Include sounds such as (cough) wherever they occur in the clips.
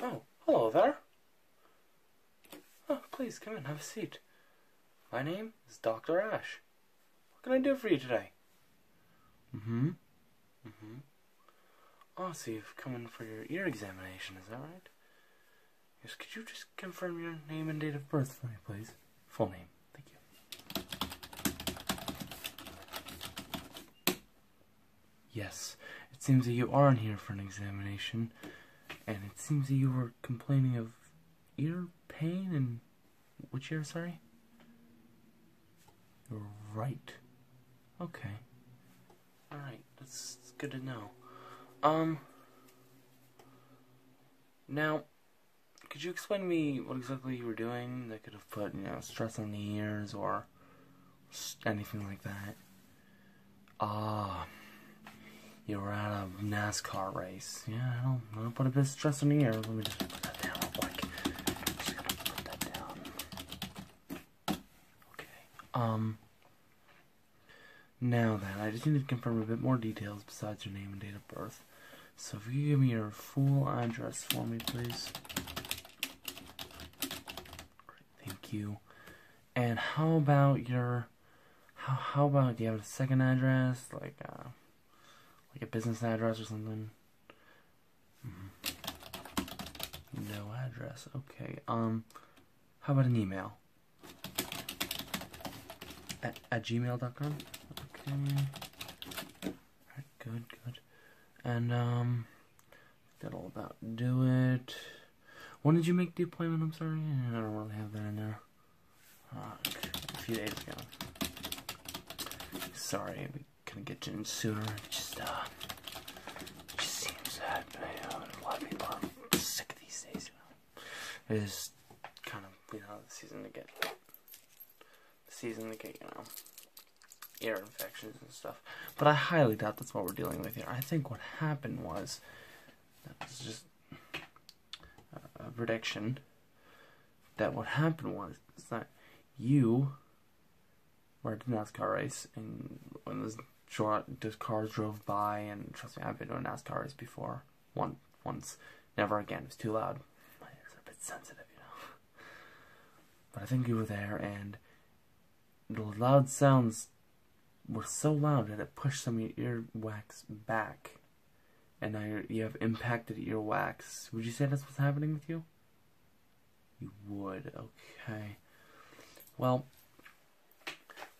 Oh, hello there. Oh, please come in, have a seat. My name is Dr. Ash. What can I do for you today? Mm-hmm. Mm-hmm. Oh, so you've come in for your ear examination, is that right? Yes, could you just confirm your name and date of birth for me, please? Full name. Thank you. Yes, it seems that you are in here for an examination, and it seems that you were complaining of ear pain and which ear, sorry? Your right. Okay. Alright, that's good to know. Um, now, could you explain to me what exactly you were doing that could have put, you know, stress on the ears or anything like that? Ah, you were at a NASCAR race. Yeah, I don't, know, don't put a bit stress on the ears. Let me just put that down real quick. Okay. Um, now then, I just need to confirm a bit more details besides your name and date of birth. So if you give me your full address for me, please. thank you. And how about your, how, about, do you have a second address? Like, uh, like a business address or something? Mm-hmm. No address, okay. Um, how about an email? At, at gmail.com? Okay. Alright, good, good. And, um, that'll about do it. When did you make the appointment? I'm sorry. I don't really have that in there. a few days ago. Sorry, we couldn't get you in sooner. just, uh, just seems that you know, a lot of people are sick these days is kind of you know the season to get season to get you know ear infections and stuff. But I highly doubt that's what we're dealing with here. I think what happened was that was just a prediction that what happened was is that you were at the NASCAR race and when this, this cars drove by and trust me I've been to a NASCAR race before one once. Never again. It was too loud. My ears are a bit sensitive, you know. But I think you were there and the loud sounds were so loud that it pushed some of your earwax back. And now you have impacted wax. Would you say that's what's happening with you? You would, okay. Well,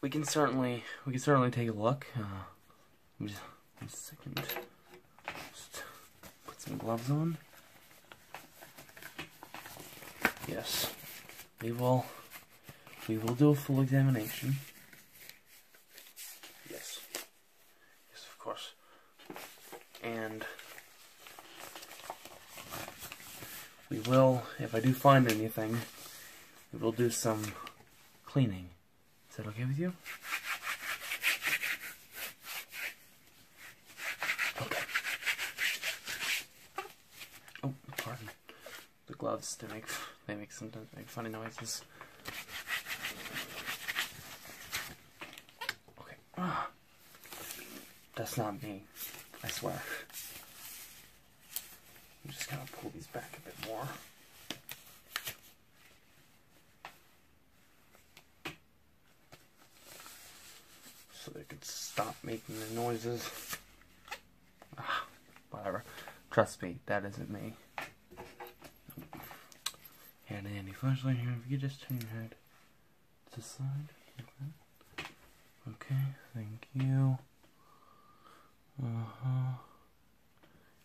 we can certainly we can certainly take a look. Uh, just one second. Just put some gloves on. Yes, we will. We will do a full examination. Yes. Yes, of course. And we will, if I do find anything, we will do some cleaning. Is that okay with you? Okay. Oh, pardon. The gloves they make they make sometimes make funny noises. Okay. Ah. That's not me. I swear. I'm just going to pull these back a bit more. So they could stop making the noises. Ah, whatever. Trust me, that isn't me. And any flashlight here, if you just turn your head to the side Okay, thank you. Uh-huh.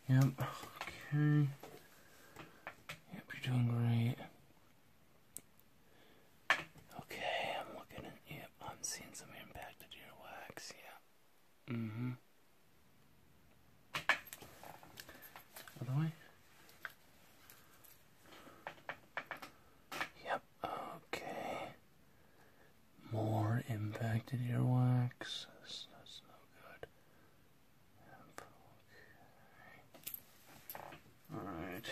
Yep, okay. Yep, you're doing great. Okay, I'm looking at, yep, I'm seeing some impacted wax. yeah. Mm-hmm. Other way? Yep, okay. More impacted earwax. That's, no good. Alright.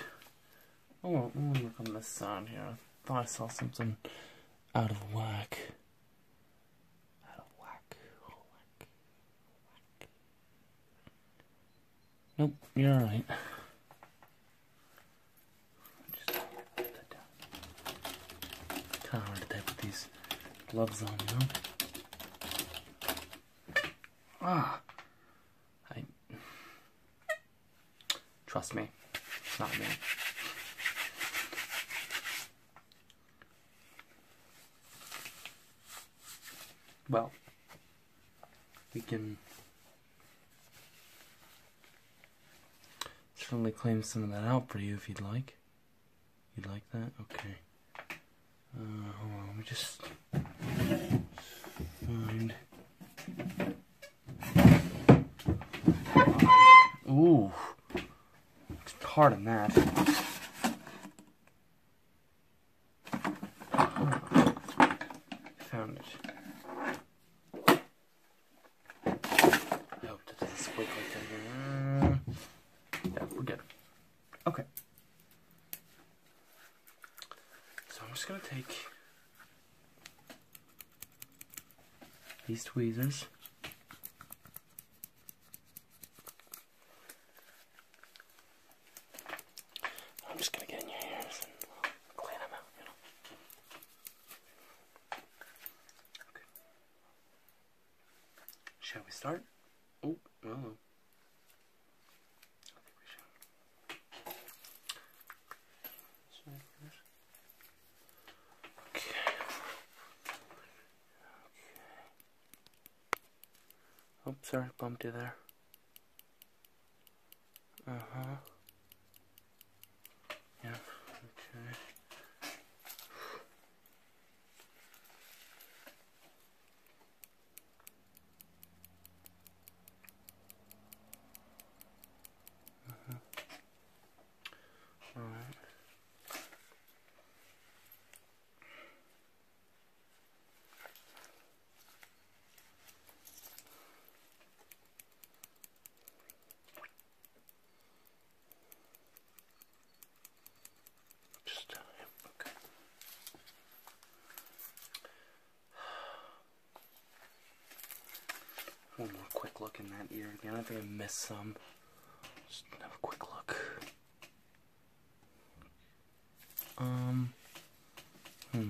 Oh, look on this side here. I thought I saw something out of whack. Out of whack. Nope, you're alright. Kinda hard to put these gloves on, you know? Ah! I... Trust me, it's not me. Well, we can certainly claim some of that out for you if you'd like. You like that? Okay. Uh, hold on, let me just find. Ooh, it's hard on that. found it. Mm. Yeah, we're good. Okay. So I'm just gonna take these tweezers. I'm just gonna get in your ears and clean them out, Shall we start? Oh, no. Oh. I think we should. Okay. Okay. Oops, sorry, bumped you there. Uh huh. Yeah, okay. Mm -hmm. All right. Just okay. One more quick look in that ear again. I think I missed some. Just have a quick look. Um. Hmm.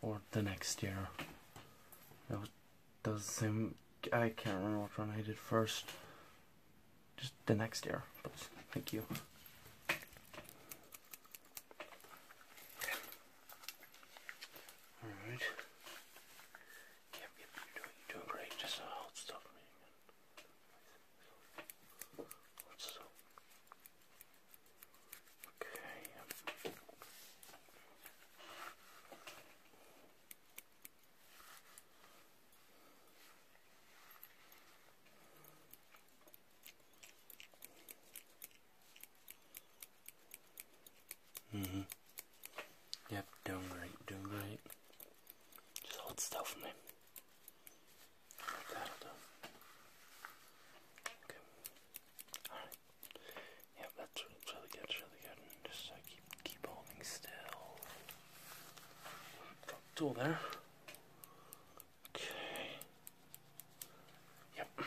or the next year. That does seem I can't remember which one I did first. Just the next year. Please. Thank you. Alright. Okay. hmm Yep, doing right. doing right. Just hold still for me. that'll do. Okay. Alright. Yeah, that's, really good, really good. just uh, keep keep holding still. Tool there. Okay. Yep.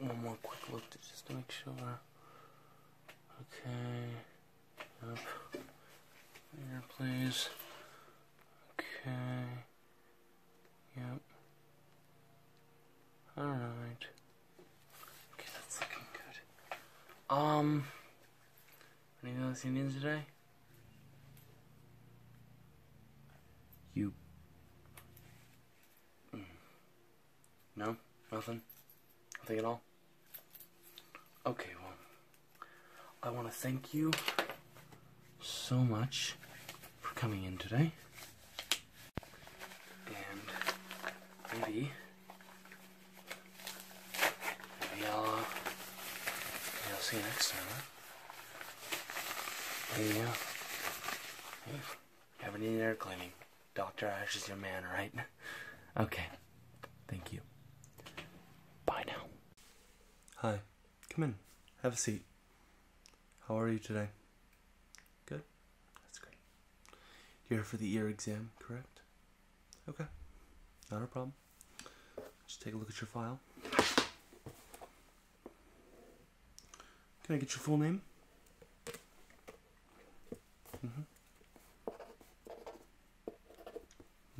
One more quick look to just to make sure. Okay. Up. Here, please. Okay. Yep. Alright. Okay, that's looking good. Um, anything else you need today? You. Mm. No? Nothing? Nothing at all? Okay, well, I want to thank you so much for coming in today. And maybe, maybe I'll, uh, see you next time. Huh? Maybe, uh, maybe you haven't air cleaning. Dr. Ash is your man, right? (laughs) Okay. Thank you. Bye now. Hi. Come in, have a seat. How are you today? Good? That's great. You're for the ear exam, correct? Okay, not a problem. Just take a look at your file. Can I get your full name? Mm -hmm.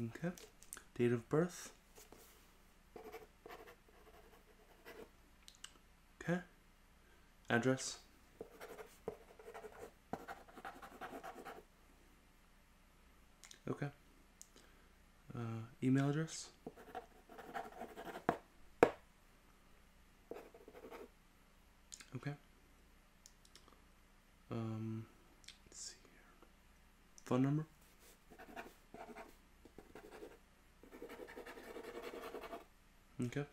Okay. Date of birth? Okay. Address. Okay. Uh, email address. Okay. Um, let's see Phone number. Okay.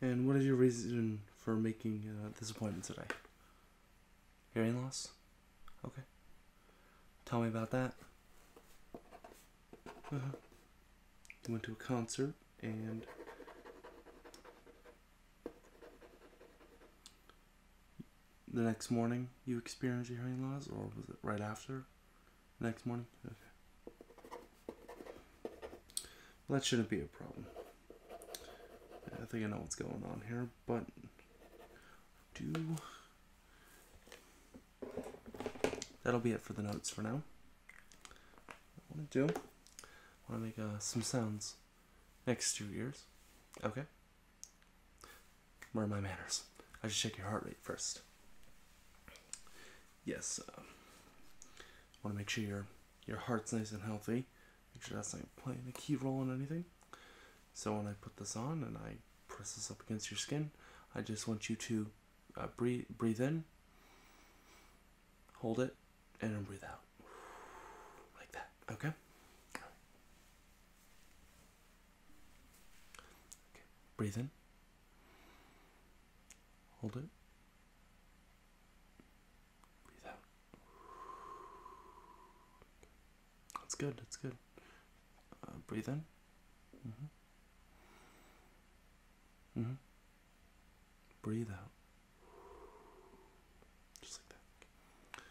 And what is your reason for making uh, this appointment today? Hearing loss? Okay. Tell me about that. Uh -huh. You went to a concert and the next morning you experienced your hearing loss, or was it right after? Next morning? that shouldn't be a problem. I think I know what's going on here, but do. That'll be it for the notes for now. I want to do, I want to make uh, some sounds next two years. Okay? Where are my manners? I should check your heart rate first. Yes, I uh, want to make sure your your heart's nice and healthy. Make sure that's not playing a key role in anything. So when I put this on and I press this up against your skin, I just want you to uh, breathe breathe in, hold it, and then breathe out (sighs) like that. Okay breathe in. Hold it. Breathe out. That's good. That's good. Uh, breathe in. hmm hmm Breathe out. Just like that.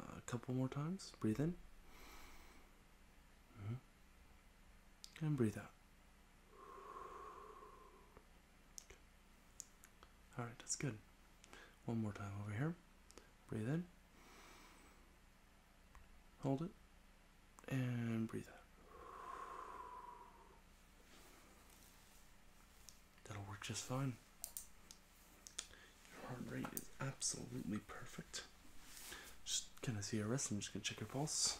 Uh, a couple more times. Breathe in. Mm-hmm. And breathe out. All right, that's good. One more time over here. Breathe in. Hold it. And breathe out. That'll work just fine. Your heart rate is absolutely perfect. Just gonna see your wrist. I'm just gonna check your pulse.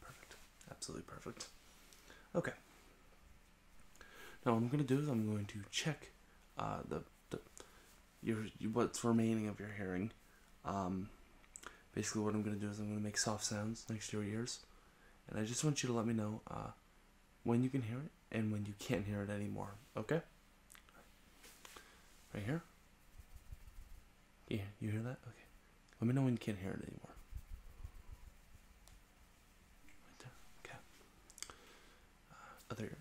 Perfect. Absolutely perfect. Okay. Now what I'm gonna do is I'm going to check uh, the, the your what's remaining of your hearing. Um, basically, what I'm gonna do is I'm gonna make soft sounds next to your ears, and I just want you to let me know uh, when you can hear it and when you can't hear it anymore. Okay? Right here? Yeah, you hear that? Okay. Let me know when you can't hear it anymore. Right there. Okay. Uh, other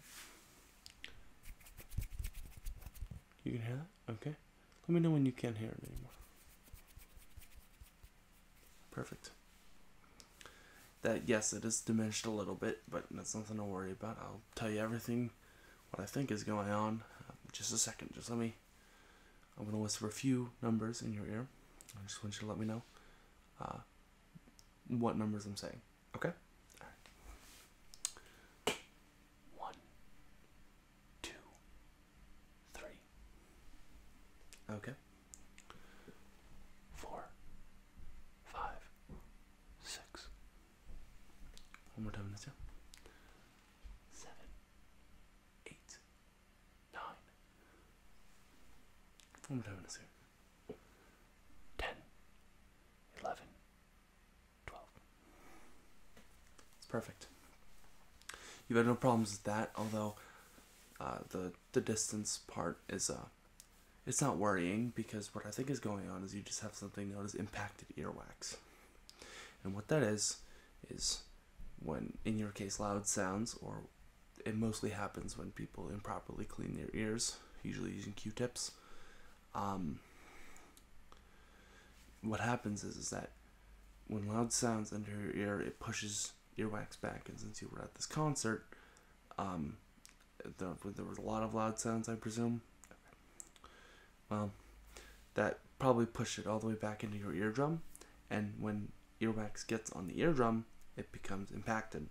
You can hear that? Okay. Let me know when you can't hear it anymore. Perfect. That, yes, it has diminished a little bit, but that's nothing to worry about. I'll tell you everything, what I think is going on. Uh, just a second, just let me, I'm going to whisper a few numbers in your ear. I just want you to let me know uh, what numbers I'm saying, okay? Okay four, five, six. One more time, in us go. Seven, eight, nine. One more time, let's go. Ten, eleven, twelve. It's perfect. you had no problems with that, although uh, the the distance part is uh it's not worrying because what I think is going on is you just have something known as impacted earwax. And what that is is when in your case loud sounds or it mostly happens when people improperly clean their ears, usually using Q-tips. Um, what happens is, is that when loud sounds enter your ear, it pushes earwax back, and since you were at this concert, um, there, there was a lot of loud sounds, I presume. Well, that probably pushed it all the way back into your eardrum, and when earwax gets on the eardrum, it becomes impacted.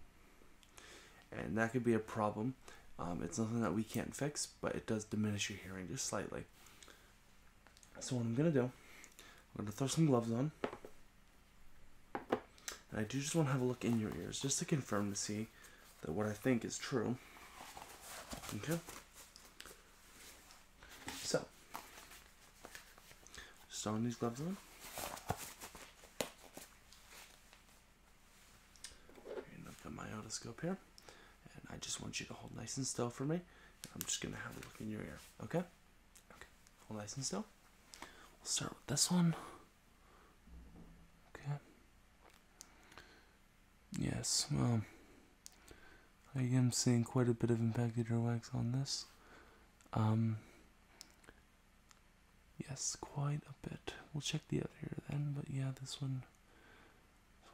And that could be a problem. Um, it's nothing that we can't fix, but it does diminish your hearing just slightly. So what I'm gonna do, I'm gonna throw some gloves on. I do just want to have a look in your ears just to confirm to see that what I think is true. Okay? So, just on these gloves on. And I've got my otoscope here. And I just want you to hold nice and still for me. I'm just going to have a look in your ear. Okay? Okay. Hold nice and still. We'll start with this one. Okay. Yes, well, I am seeing quite a bit of impacted earwax on this. Um, yes, quite a bit. We'll check the other here then, but yeah, this one,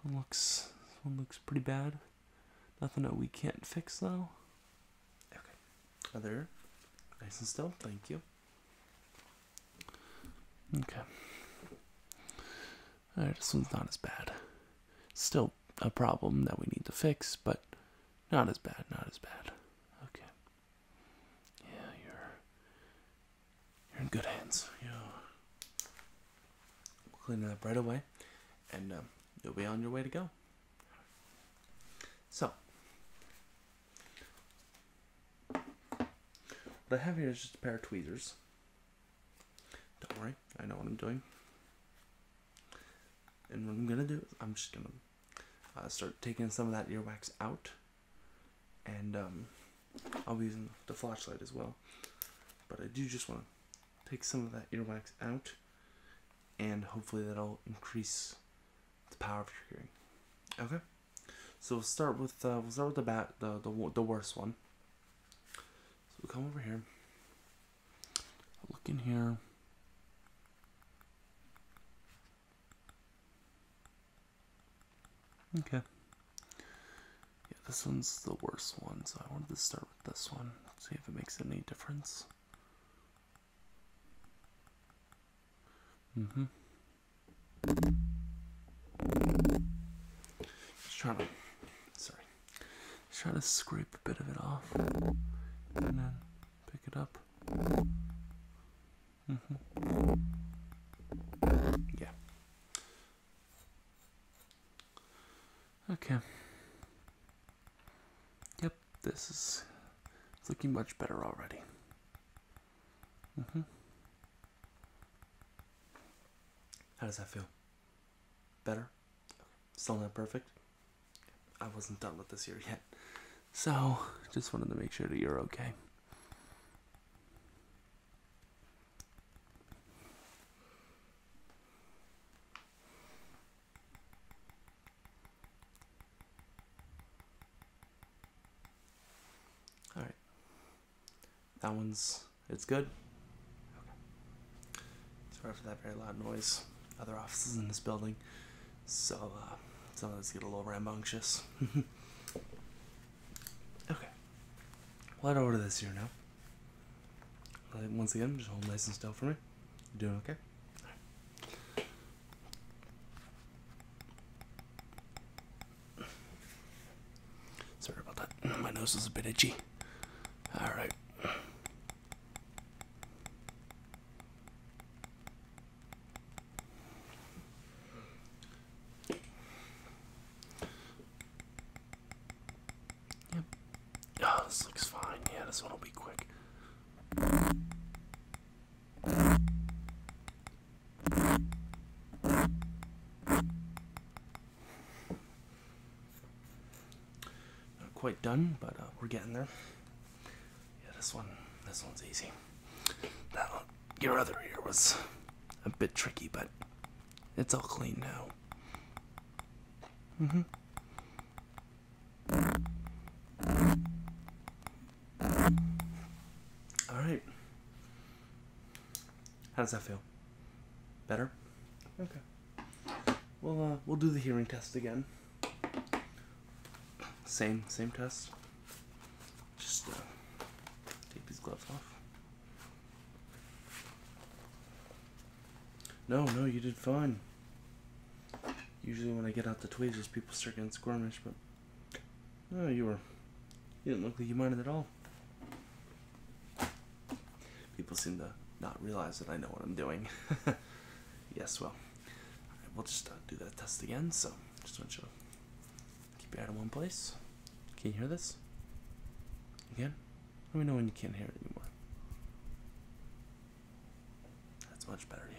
looks, this one looks pretty bad. Nothing that we can't fix though. Okay, other nice and still. Thank you. Okay. All right, this one's not as bad. Still a problem that we need to fix, but not as bad. Not as bad. Okay. Yeah, you're you're in good hands. Yeah. will clean that right away, and um, you'll be on your way to go. So, what I have here is just a pair of tweezers. Don't worry, I know what I'm doing. And what I'm gonna do I'm just gonna uh, start taking some of that earwax out, and um, I'll be using the flashlight as well. But I do just want to take some of that earwax out, and hopefully that'll increase the power of your hearing. Okay, so we'll start with uh, we'll start with the back the the the worst one. So we will come over here. Look in here. Okay. Yeah, this one's the worst one, so I wanted to start with this one. see if it makes any difference. Mm-hmm. Just trying to, sorry, just trying to scrape a bit of it off, and then pick it up. Mm-hmm. Yeah. Okay. Yep. This is looking much better already. Mm-hmm. How does that feel? Better? Still not perfect? I wasn't done with this year yet. So, just wanted to make sure that you're okay. All right. That one's it's good. Sorry for that very loud noise. Other offices in this building, so uh, some of us get a little rambunctious. (laughs) okay. Well, I'd order this here now. once again, just hold nice and still for me. You doing okay? Sorry about that. My nose is a bit itchy. Alright. Yep. Oh, this looks fine. Yeah, this one will be quick. Not quite done, but uh, we're getting there. Yeah, this one, this one's easy. That your other ear was a bit tricky, but it's all clean now. Mm-hmm. All right. How does that feel? Better? Okay. Well, uh, we'll do the hearing test again. Same, same test. Just uh, take these gloves off. No, no, you did fine. Usually when I get out the tweezers, people start getting squirmish, but no, oh, you were. You didn't look like you minded at all. People seem to not realize that I know what I'm doing. (laughs) yes, well, we'll just uh, do that test again. So, just want you to keep it out of one place. Can you hear this? Again? Let me know when you can't hear it anymore. That's much better, yeah.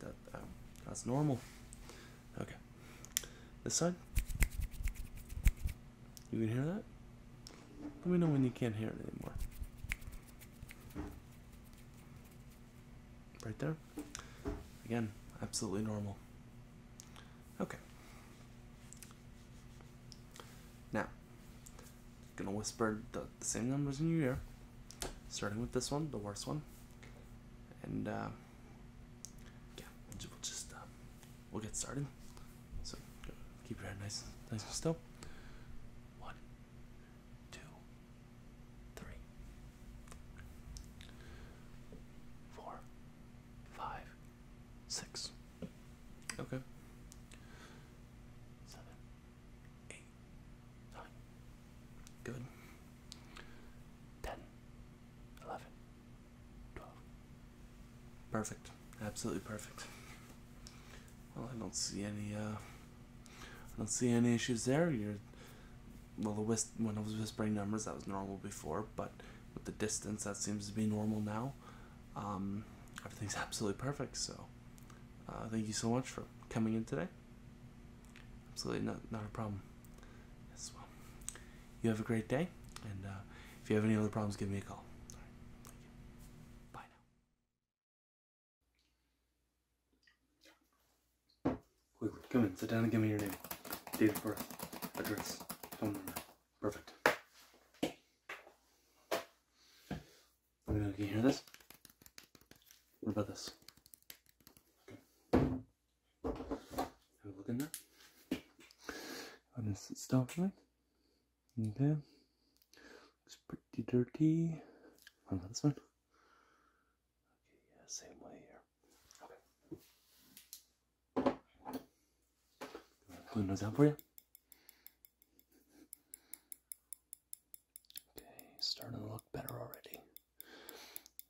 That, um, that's normal. Okay. This side. You can hear that? Let me know when you can't hear it anymore. Right there. Again, absolutely normal. Okay. Now, I'm gonna whisper the the same numbers in your ear, starting with this one, the worst one, and uh, yeah, we'll just uh, we'll get started. So keep your head nice, nice and still. One, two, three, four, five, six. Okay. Seven, eight nine, good, ten, eleven, twelve. Perfect, absolutely perfect. Well, I don't see any. Uh, I don't see any issues there. You're well. The when I was whispering numbers, that was normal before, but with the distance, that seems to be normal now. Um, everything's (laughs) absolutely perfect. So, uh, thank you so much for coming in today. Absolutely not, not a problem. Yes, well, you have a great day, and uh, if you have any other problems, give me a call. Bye now. Quickly, come in, sit down and give me your name, date of birth, address, phone number. Perfect. I don't know if you hear this. What about this? Have a look in there. i this gonna Okay. Looks pretty dirty. What about this one? Okay, yeah, same way here. Okay. putting those out for you. Okay, starting to look better already.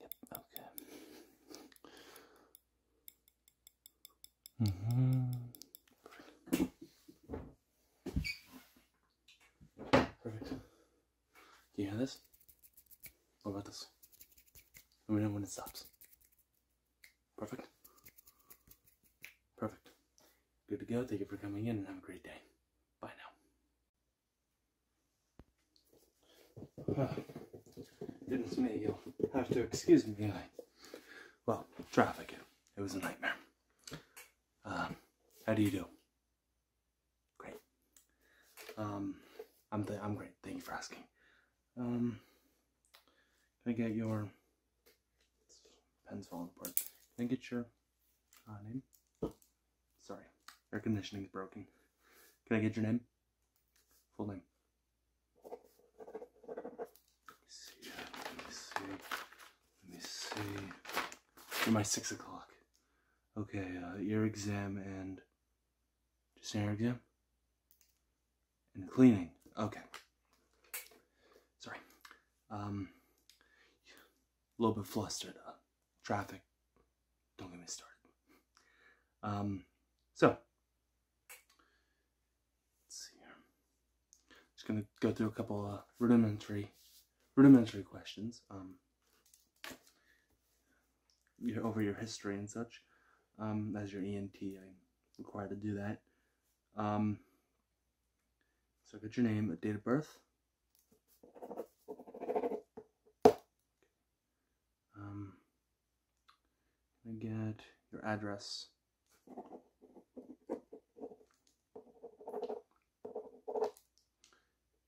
Yep, okay. Mm-hmm. Perfect. Perfect. Can you hear this? What about this? Let me know when it stops. Perfect. Perfect. Good to go. Thank you for coming in and have a great day. Bye now. Uh, (sighs) didn't me, you'll have to excuse me. well, traffic, it was a nightmare. Um, how do you do? Great. Um, I'm, I'm great, thank you for asking. Um, can I get your, pen's falling apart. Can I get your Ah, name? Sorry, air conditioning is broken. Can I get your name? Full name. See, let me see. Let me see. You're my six o'clock. Okay, uh, ear exam and just an ear exam and cleaning. Okay. Sorry. Um, a little bit flustered traffic. Don't get me started. Um, so, let's see here. Just gonna go through a couple of rudimentary, rudimentary questions. Um, your, over your history and such. Um, as your ENT, I'm required to do that. Um, so I got your name, a date of birth, um, I get your address?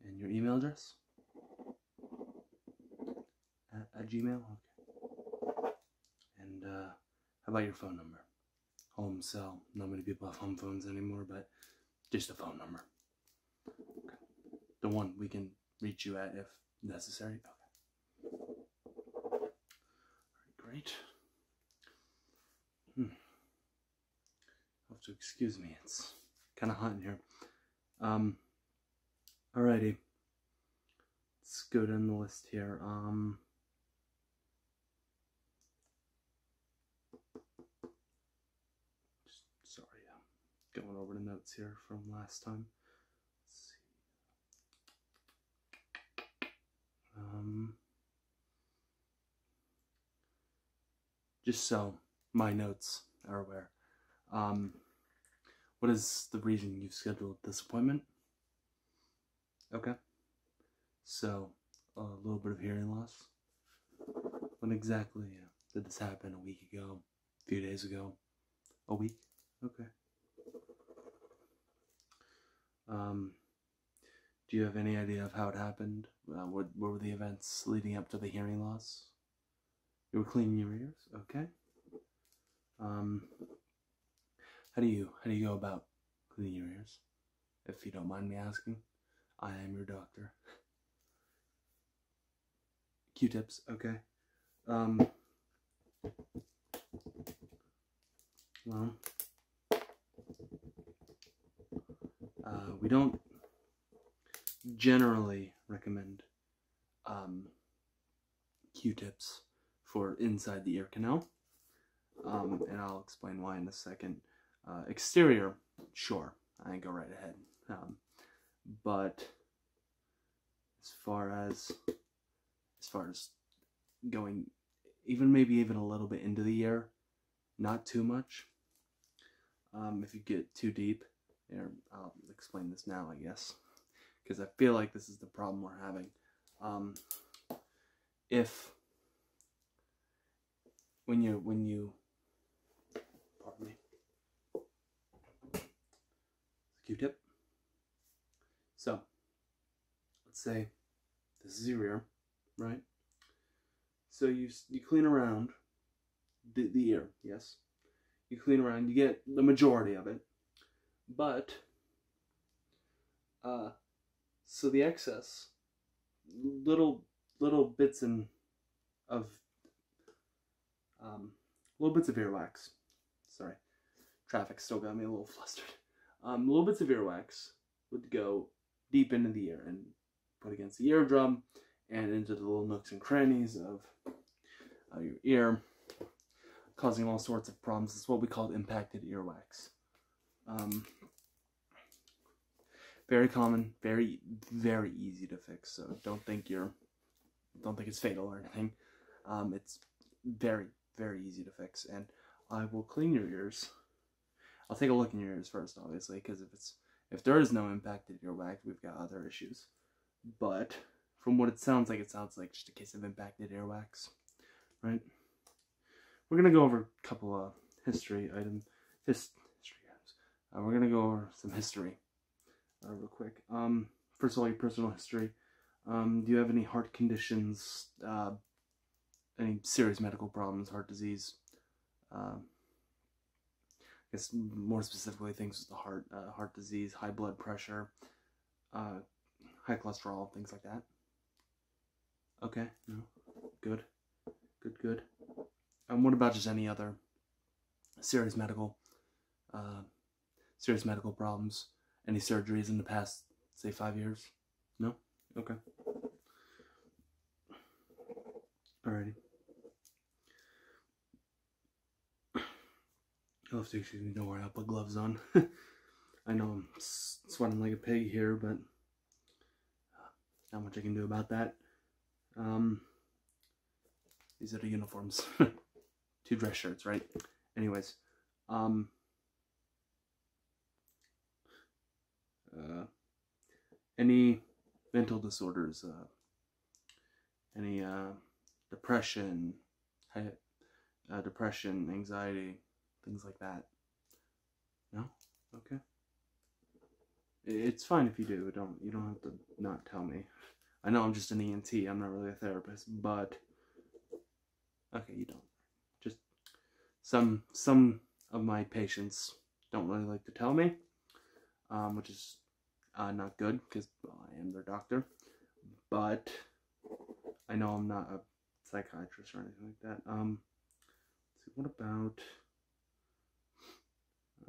And your email address? At, Gmail? Okay. And uh, how about your phone number? Home cell. Not many people have home phones anymore, but just a phone number. The one we can reach you at if necessary. Okay. great. Hmm. Have to excuse me. It's kind of hot in here. Um. Alrighty. Let's go down the list here. Um. Just, sorry, I'm going over the notes here from last time. Um, just so my notes are aware. Um, what is the reason you've scheduled this appointment? Okay. So, a little bit of hearing loss. When exactly uh, did this happen? A week ago? A few days ago? A week? Okay. Um, do you have any idea of how it happened? Uh, what, what were the events leading up to the hearing loss? You were cleaning your ears? Okay. Um, how do you, how do you go about cleaning your ears? If you don't mind me asking, I am your doctor. Q-tips, okay. Um, well, uh, we don't generally recommend um, Q-tips for inside the ear canal, um, and I'll explain why in a second. Uh, exterior, sure. I think go right ahead. Um, but as far as as far as going, even maybe even a little bit into the year, not too much. Um, if you get too deep, or I'll explain this now, I guess, because I feel like this is the problem we're having. Um, if when you when you pardon me q-tip so let's say this is your ear right so you you clean around the, the ear yes you clean around you get the majority of it but uh so the excess little little bits and of um, little bits of earwax. Sorry, traffic still got me a little (laughs) flustered. Um, little bits of earwax would go deep into the ear and put against the eardrum and into the little nooks and crannies of your ear, causing all sorts of problems. It's what we call impacted earwax. Um, very common, very, very easy to fix, so don't think you're, don't think it's fatal or anything. Um, it's very, very easy to fix, and I will clean your ears. I'll take a look in your ears first, obviously, because if it's, if there is no impact to your wax, we've got other issues. But from what it sounds like, it sounds like just a case of impacted earwax, right? We're gonna go over a couple of history items, history items, uh, we're gonna go over some history uh, real quick. Um, first of all, your personal history. Um, do you have any heart conditions? Uh, any serious medical problems? Heart disease? Uh, I guess more specifically, things with the heart, heart disease, high blood pressure, high cholesterol, things like that. Okay, no, good. Good, good. And what about just any other serious medical, uh, serious medical problems? Any surgeries in the past, say, five years? No? Okay. Alrighty. You'll have to excuse me, don't worry, I'll put gloves on. (laughs) I know I'm sweating like a pig here, but uh, not much I can do about that. Um, these are the uniforms. (laughs) Two dress shirts, right? Anyways, um, uh, any mental disorders, uh, any uh, depression, uh, depression, anxiety, things like that. No? Okay. It's fine if you do. Don't you don't have to not tell me. I know I'm just an ENT. I'm not really a therapist, but okay, you don't. Just some some of my patients don't really like to tell me, um, which is uh, not good because I am their doctor. But I know I'm not a psychiatrist or anything like that. Um, what about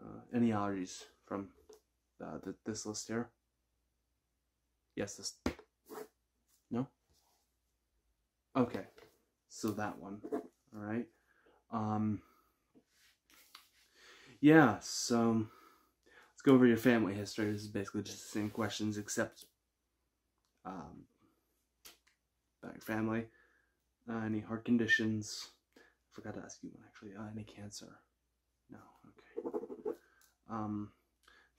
uh, any allergies from uh, this list here? Yes, this. No? Okay, so that one. All right. Um, yeah, so let's go over your family history. This is basically just the same questions, except um, about family, uh, any heart conditions, I forgot to ask you one actually. Uh, any cancer? No. Okay. Um,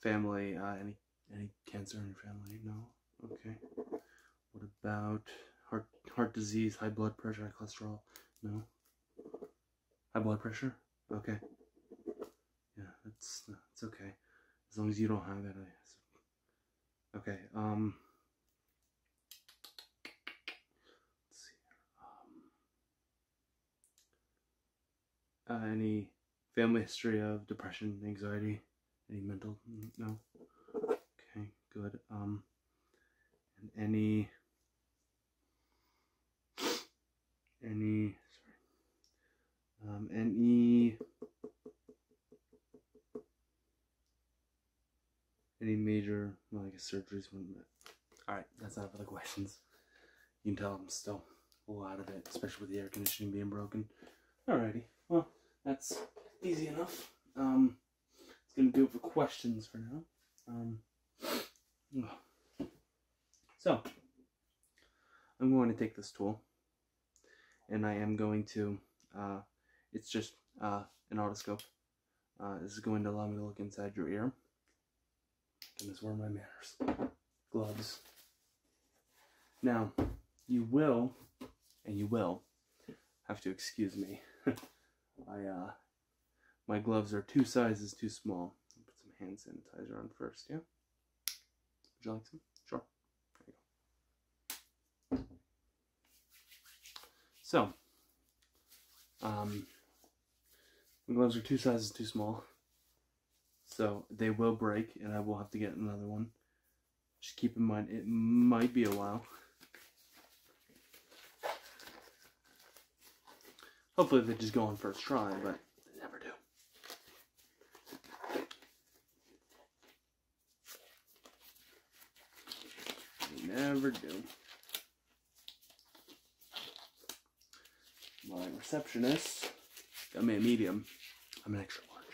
family? Uh, any any cancer in your family? No. Okay. What about heart heart disease, high blood pressure, high cholesterol? No. High blood pressure? Okay. Yeah, that's that's okay. As long as you don't have it. okay. Um. Um, uh, any family history of depression, anxiety, any mental? No. Okay, good. Um, and any any sorry um any any major, I guess surgeries Alright, that's out of the questions. You can tell I'm still a lot of it, especially with the air conditioning being broken. Alrighty, well, that's easy enough. Um, it's gonna do it for questions for now. Um, so, I'm going to take this tool, and I am going to, uh, it's just uh, an otoscope. Uh, this is going to allow me to look inside your ear. And this were my manners? Gloves. Now, you will, and you will, have to excuse me. (laughs) I, uh, my gloves are two sizes too small. put some hand sanitizer on first, yeah? Would you like some? Sure. There you go. So, um, the gloves are two sizes too small, so they will break, and I will have to get another one. Just keep in mind, it might be a while. Hopefully they just go on first try, but they never do. They never do. My receptionist got me a medium. I'm an extra large.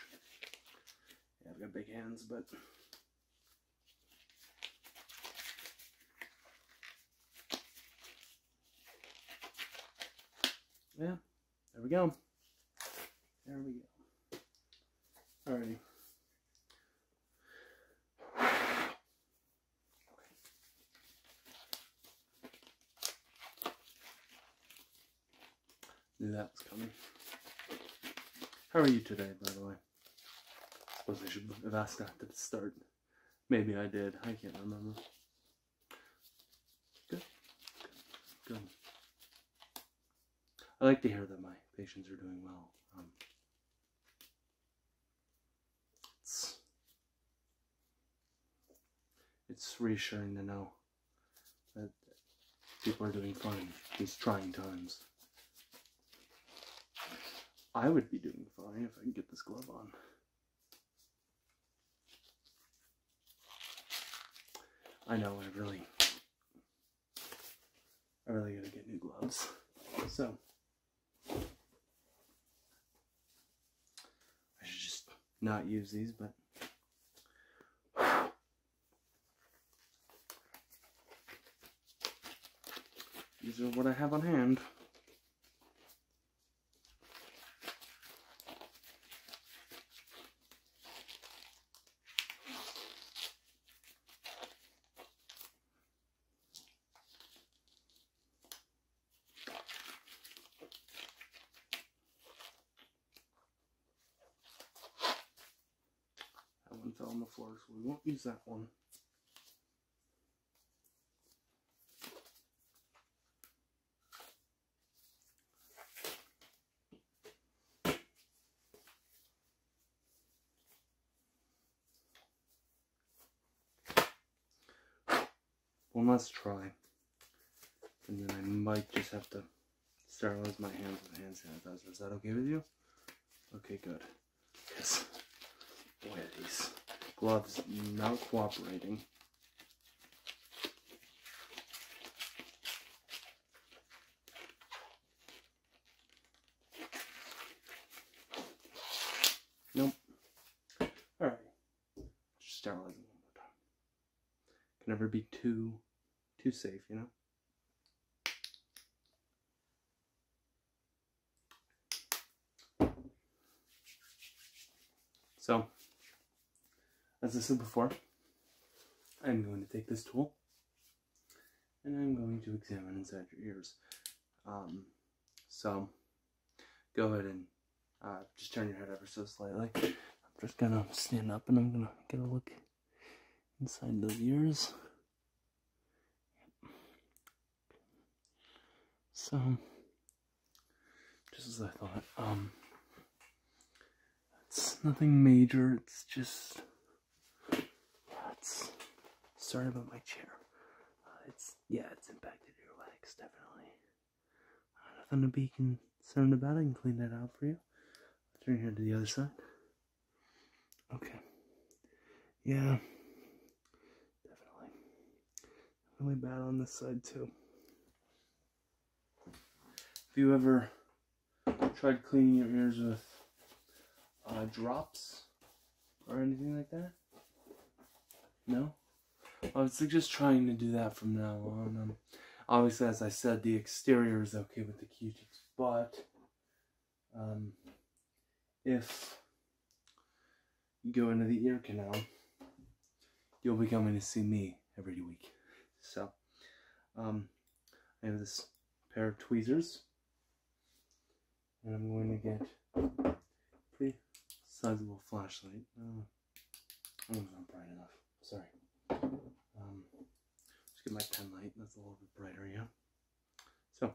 Yeah, I've got big hands, but yeah, there we go. There we go. All righty. Knew that was coming. How are you today, by the way? I suppose I should have asked that at the start. Maybe I did. I can't remember. Good. Good. Good. I like to hear that my patients are doing well. Um, it's, reassuring to know that people are doing fine these trying times. I would be doing fine if I could get this glove on. I know I really I really gotta get new gloves. So I should just not use these, but. These are what I have on hand. That one fell on the floor, so we won't use that one. One last try. And then I might just have to sterilize my hands with hand sanitizer. Is that okay with you? Okay, good. Yes. Boy, these gloves not cooperating. Nope. Alright. Just sterilize them one more time. Can never be too too safe, you know? So, as I said before, I'm going to take this tool and I'm going to examine inside your ears. Um, so go ahead and uh, just turn your head ever so slightly. I'm just gonna stand up and I'm gonna get a look inside those ears. So, just as I thought, um, it's nothing major, it's just that's sorry about my chair. Uh, it's yeah, it's impacted your legs definitely. Uh, nothing to be concerned about. I can clean that out for you. turn your to the other side. Okay. Yeah. Definitely. Really bad on this side too. Have you ever tried cleaning your ears with uh, drops or anything like that? No? I was like, just trying to do that from now on. Um, obviously, as I said, the exterior is okay with the Q-tips, but um, if you go into the ear canal, you'll be coming to see me every week. So, um, I have this pair of tweezers and I'm going to get pretty sizable flashlight. Uh, not bright enough. Sorry. Um, just get my pen light. That's a little bit brighter, yeah. So,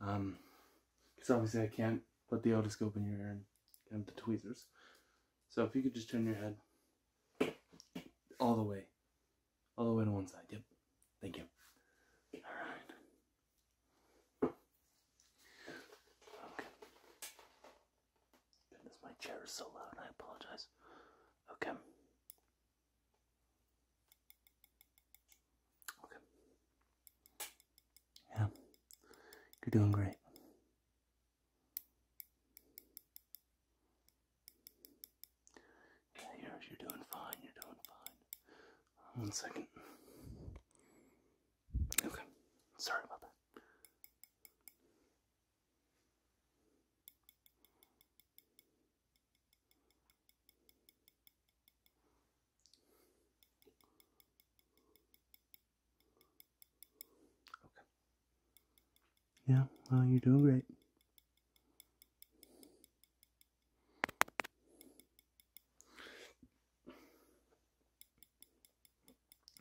um, obviously I can't put the otoscope in your ear and get the tweezers. So if you could just turn your head all the way all the way to one side. Yep. Thank you. All right. Okay. my chair is so loud. I apologize. Okay. Okay. Yeah. You're doing great. Yeah, you you're doing fine. You're doing fine. One second. Okay. Sorry about that. Okay. Yeah, well, you're doing great.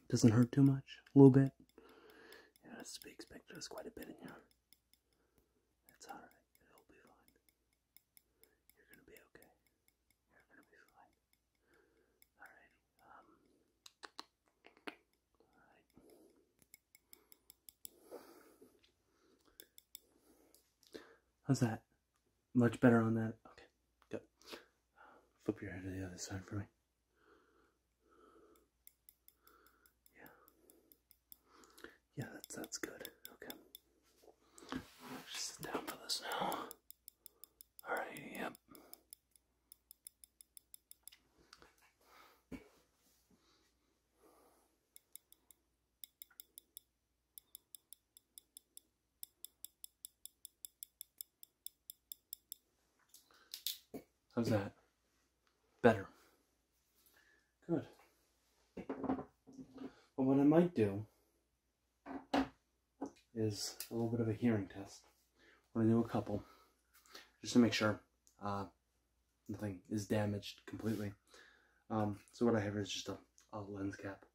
Doesn't hurt too much, a little bit. Yeah, it's to be expected. It's quite a bit in here. That's alright. It'll be fine. You're gonna be okay. You're gonna be fine. Alright. Um, alright. How's that? Much better on that? Okay, good. Flip your head to the other side for me. Yeah. Yeah, that's, that's good. Okay. sit down for this now. Alright, yep. How's that? Better. Good. Well, what I might do is a little bit of a hearing test. We're gonna do a couple, just to make sure uh, nothing is damaged completely. Um, so what I have is just a a lens cap.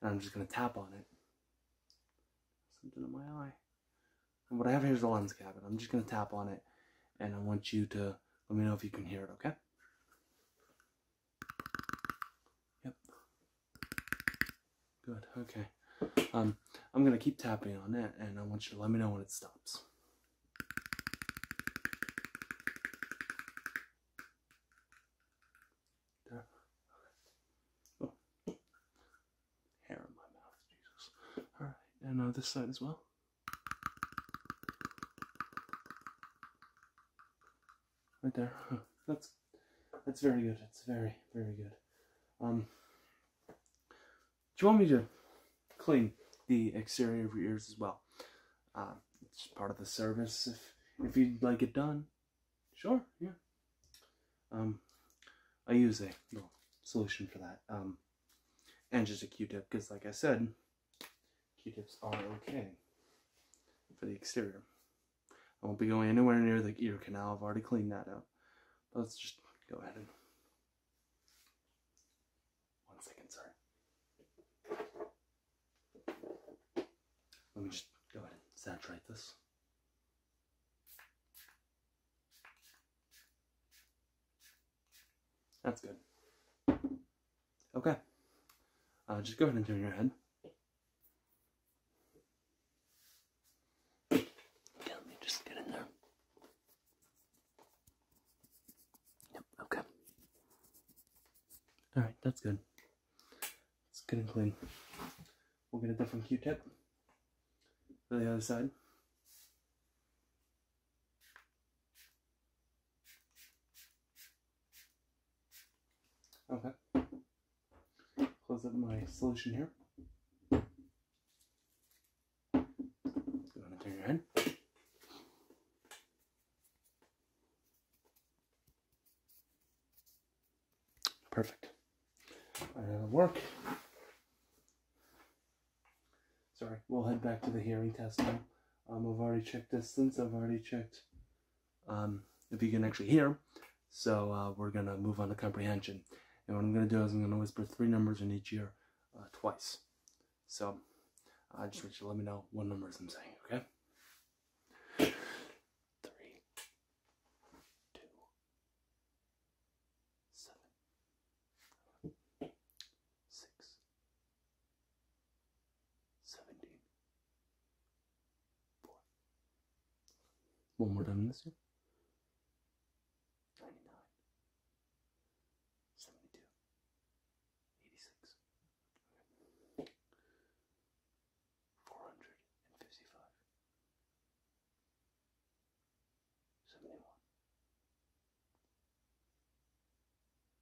And I'm just going to tap on it. Something in my eye. And what I have here is a lens cap, and I'm just going to tap on it. And I want you to let me know if you can hear it, okay? Yep. Good, okay. Um, I'm going to keep tapping on it, and I want you to let me know when it stops. There. Oh. Hair in my mouth, Jesus. Alright, and uh, this side as well. Right there. That's that's very good. It's very, very good. Um Do you want me to clean the exterior of your ears as well? Uh, it's part of the service. If if you'd like it done, sure, yeah. Um, I use a solution for that. Um, and just a Q-tip, because like I said, Q-tips are okay for the exterior. I won't be going anywhere near the ear canal. I've already cleaned that out. Let's just go ahead and one second, sorry. Let me just go ahead and saturate this. That's good. Okay. Uh, just go ahead and turn your head. Okay, let me just get in there. Yep, okay. Alright, that's good. It's good and clean. We'll get a different Q-tip for the other side. Okay. Close up my solution here. Go ahead and turn your head. Perfect. Right, that'll work. Sorry, we'll head back to the hearing test now. Um, I've already checked distance. I've already checked um, if you can actually hear. So uh, we're going to move on to comprehension. And what I'm going to do is I'm going to whisper three numbers in each ear uh, twice. So I just want you to let me know what numbers I'm saying, okay? Three, two, seven, six, seventeen, four. One more time this year. 99, Four hundred and fifty five, seventy one,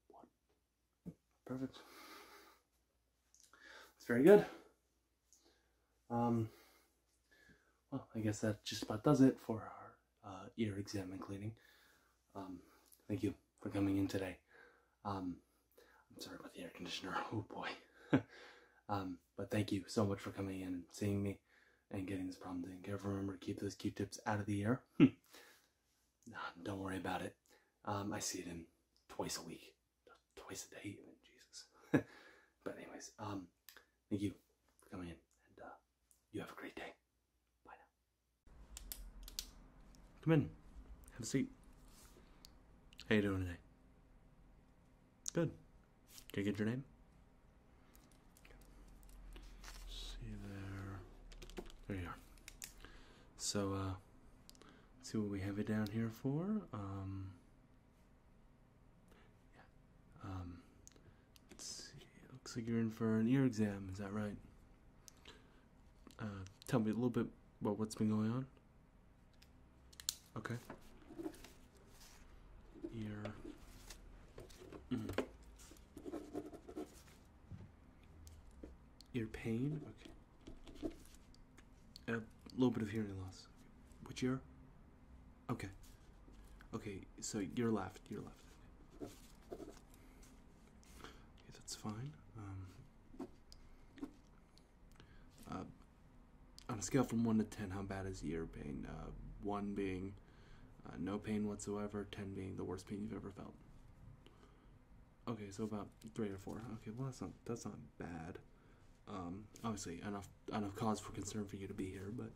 one. Perfect. That's very good. Um, well, I guess that just about does it for our uh, ear exam and cleaning. Um, thank you for coming in today. Um, I'm sorry about the air conditioner. (laughs) Oh boy. (laughs) um, but thank you so much for coming in seeing me and getting this problem taken care of. Remember to keep those Q-tips out of the air. (laughs) nah, don't worry about it. Um, I see it in twice a week, twice a day Jesus. but anyways, um, thank you for coming in, and uh, you have a great day. Bye now. Come in. Have a seat. How you doing today? Good. Can I get your name? See there. There you are. So, uh, see what we have it down here for. Um, yeah. Um, looks like you're in for an ear exam. Is that right? Uh, tell me a little bit about what's been going on. Okay. Your. Mm-hmm. Your pain? Okay. A little bit of hearing loss. Which ear? Okay. Okay, so your left, your left. Okay, that's fine. Um, uh, on a scale from 1 to 10, how bad is ear pain? Uh, 1 being uh, no pain whatsoever, 10 being the worst pain you've ever felt. Okay, so about 3 or 4. Okay, well, that's not, that's not bad. Um, obviously, enough, enough cause for concern for you to be here, but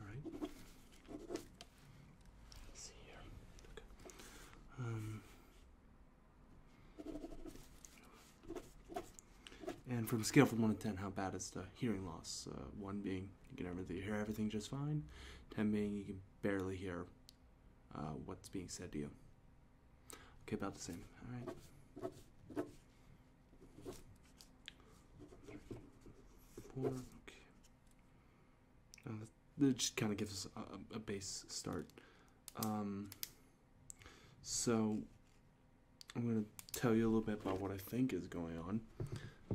alright. Um, and from scale from 1 to 10, how bad is the hearing loss? Uh, 1 being you can hear everything just fine, 10 being you can barely hear uh, what's being said to you. Okay, about the same. All uh, it just kind of gives us a, base start. Um, so I'm going to tell you a little bit about what I think is going on,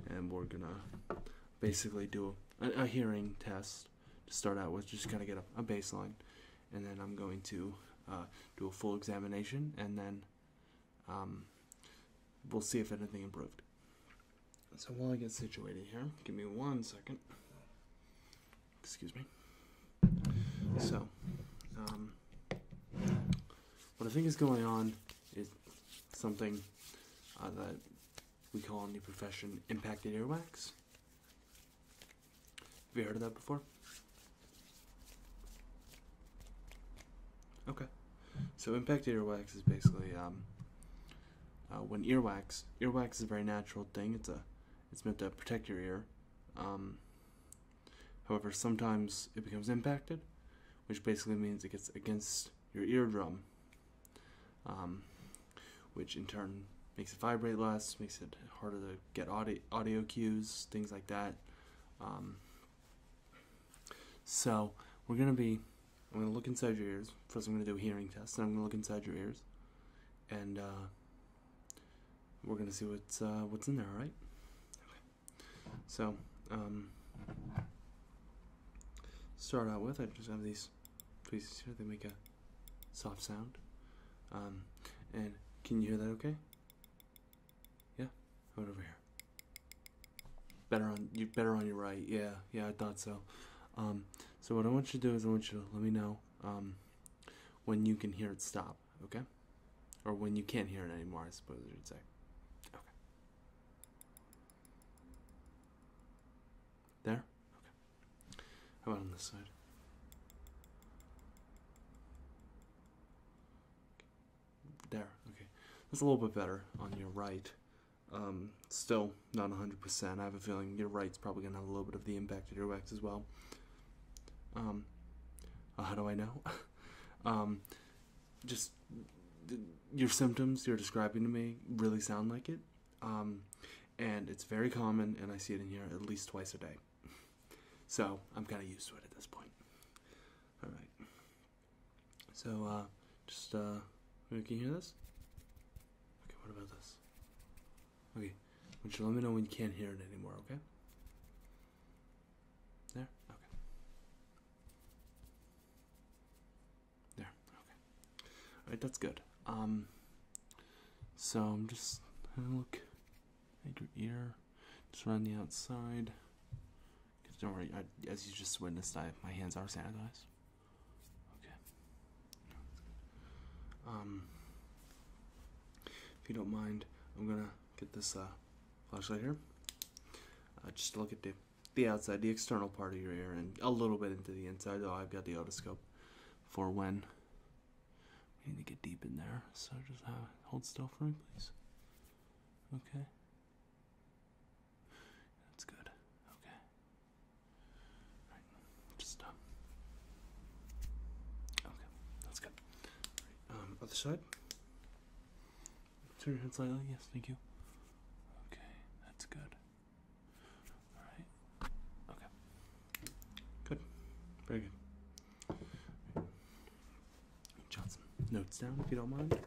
and we're going to basically do a, hearing test to start out with, just kind of get a, baseline, and then I'm going to uh, do a full examination, and then um, we'll see if anything improved. So while I get situated here, give me one second. Excuse me. So, um, what I think is going on is something uh, that we call in the profession impacted earwax. Have you heard of that before? Okay. So impacted earwax is basically um, uh, when earwax earwax is a very natural thing it's a it's meant to protect your ear um, however sometimes it becomes impacted which basically means it gets against your eardrum um, which in turn makes it vibrate less makes it harder to get audio, audio cues things like that um, so we're going to be i'm going to look inside your ears first i'm going to do a hearing test and i'm going to look inside your ears and uh, we're gonna see what's uh, what's in there. All right. Okay. So, um, start out with I just have these pieces here. They make a soft sound. Um, and can you hear that? Okay. Yeah. How about over here? Better on you. Better on your right. Yeah. Yeah. I thought so. Um, so what I want you to do is I want you to let me know um, when you can hear it stop, okay? Or when you can't hear it anymore, I suppose you'd say. Okay. There? Okay. How about on this side? There, okay. That's a little bit better on your right. Um, still not 100%. I have a feeling your right's probably going to have a little bit of the impact of your wax as well. Um, uh, how do I know? (laughs) um, just your symptoms you're describing to me really sound like it. Um, and it's very common, and I see it in here at least twice a day. (laughs) So I'm kind of used to it at this point. All right. So uh, just, uh, can you hear this? Okay, what about this? Okay. Would you let me know when you can't hear it anymore, okay? There? Okay. There, okay. Alright, that's good. Um so I'm just gonna look at your ear, just around the outside. Don't worry, I, as you just witnessed, I, my hands are sanitized. Okay. Um, if you don't mind, I'm gonna get this uh, flashlight here. Uh, just to look at the the outside, the external part of your ear, and a little bit into the inside. Oh, I've got the otoscope for when we need to get deep in there. So just uh, hold still for me, please. Okay. That's good. Okay. Right, just uh, okay, that's good. Um, other side. Turn your head slightly. Yes, thank you. Okay, that's good. All right. Okay. Good. Very good. Right. Johnson, notes down if you don't mind.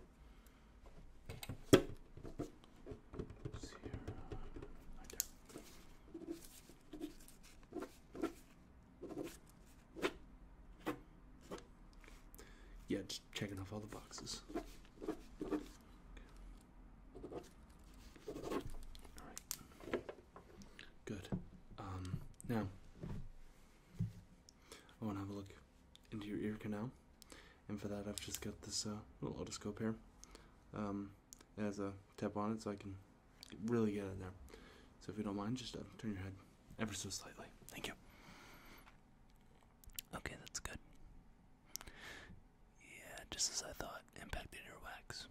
Yeah, just checking off all the boxes. Alright. Good. Um, now, I want to have a look into your ear canal, and for that, I've just got this uh, little otoscope here. Um, it has a tip on it so I can really get in there. So if you don't mind, just uh, turn your head ever so slightly. Thank you. Okay, that's good. Yeah, just as I thought, impacted wax.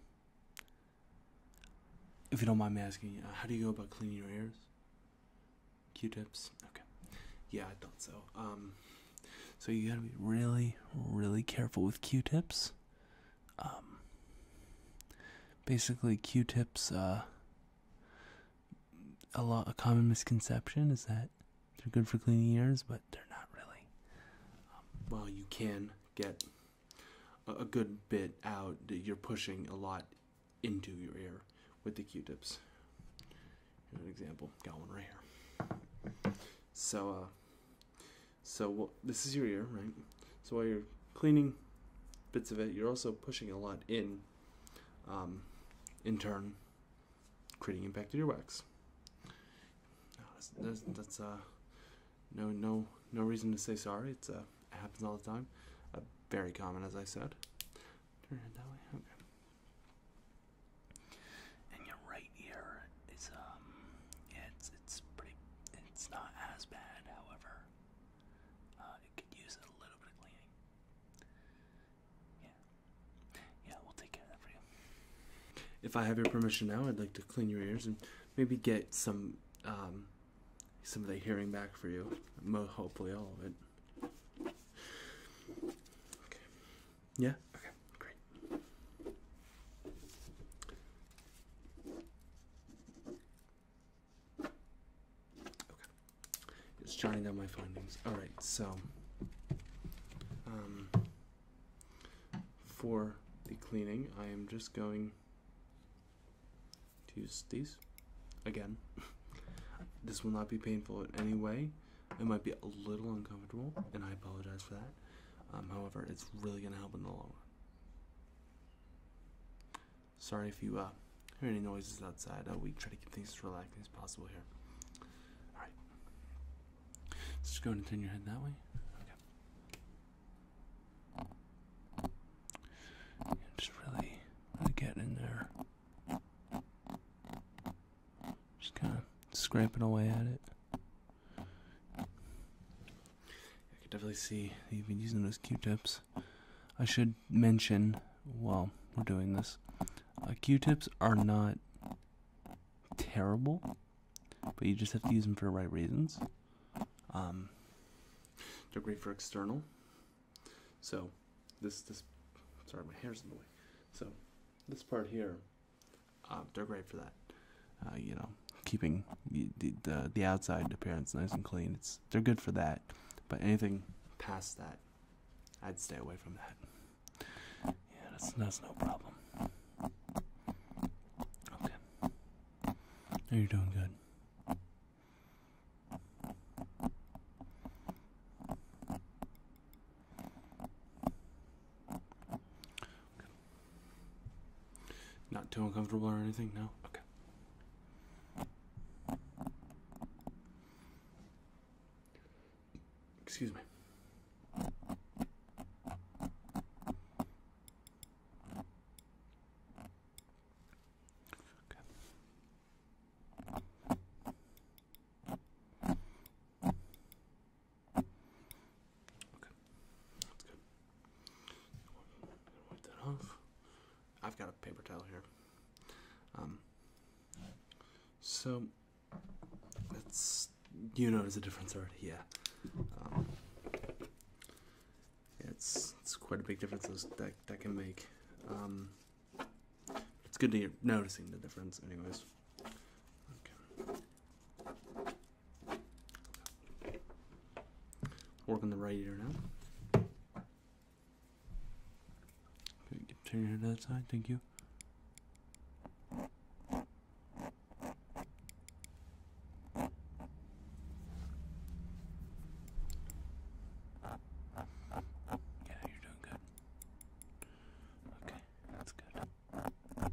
If you don't mind me asking, uh, how do you go about cleaning your ears? Q-tips. Okay. Yeah, I thought so. Um, so you gotta be really, really careful with Q-tips. Um, basically q-tips uh, a lot a common misconception is that they're good for cleaning ears but they're not really well you can get a, good bit out you're pushing a lot into your ear with the q-tips Here's an example got one right here so uh so this is your ear, right? So while you're cleaning bits of it, you're also pushing a lot in, um, in turn, creating impact to your wax. That's, uh, no, no, no reason to say sorry. It's uh, it happens all the time. Uh, very common, as I said. Turn it that way. Okay. And your right ear is um it's it's pretty it's not as bad, however, uh, it could use a little bit of cleaning. Yeah, yeah, we'll take care of that for you. If I have your permission now, I'd like to clean your ears and maybe get some um some of the hearing back for you. Mo hopefully all of it. Okay. Yeah, Okay, great. Okay, just jotting down my findings. All right, so um, for the cleaning, I am just going to use these again. (laughs) this will not be painful in any way. It might be a little uncomfortable, and I apologize for that. Um, however, it's really going to help in the long run. Sorry if you uh, hear any noises outside. Uh, we try to keep things as relaxing as possible here. All right. Let's just go and turn your head that way. Okay. just really, really get in there. Just kind of scrapping away at it. I can definitely see you've been using those Q-tips. I should mention while we're doing this, uh, Q-tips are not terrible, but you just have to use them for the right reasons. Um, they're great for external. So this this sorry my hair's in the way. So this part here uh, they're great for that. Uh, you know, keeping the, the outside appearance nice and clean. It's they're good for that. But anything past that, I'd stay away from that. Yeah, that's that's no problem. Okay, you're doing good. Not too uncomfortable or anything? No? Okay. Excuse me. Okay. Okay, that's good. Wipe that off. I've got a paper towel here. Um, so it's you notice the difference already, um, yeah. it's it's quite a big difference that that can make. Um, it's good to you noticing the difference, anyways. Work on the right ear now. turn your head that side. Thank you. Yeah, you're doing good. Okay, that's good.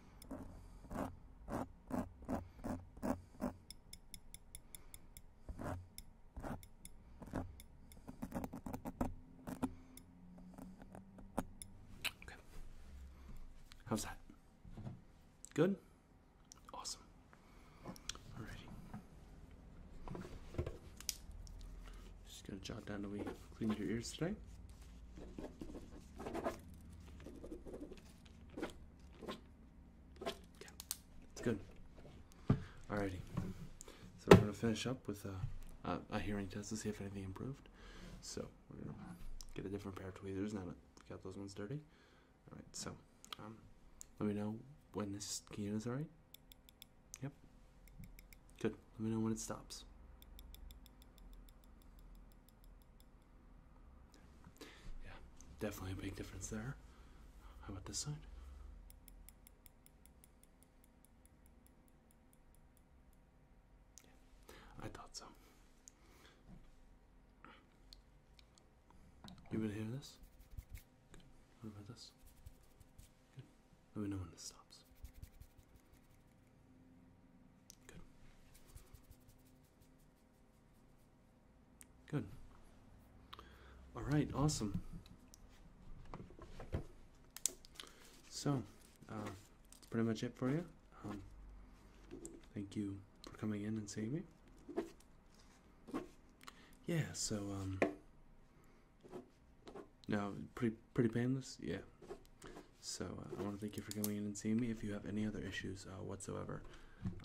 Okay. How's that? Good? Awesome. Alrighty. Just gonna jot down the way you cleaned your ears today. Yeah, it's good. Alrighty. So we're gonna finish up with a, hearing test to see if anything improved. So we're gonna get a different pair of tweezers now that we got those ones dirty. All right. So um, let me know when this key is all right. Yep. Good. Let me know when it stops. Yeah, definitely a big difference there. How about this side? Yeah, I thought so. You able to hear this? Good. What about this? Let me know when this stops. Good. Good. All right, awesome. So, uh, that's pretty much it for you. Um, thank you for coming in and seeing me. Yeah, so, um, no, pretty, pretty painless? Yeah. So uh, I want to thank you for coming in and seeing me. If you have any other issues uh, whatsoever,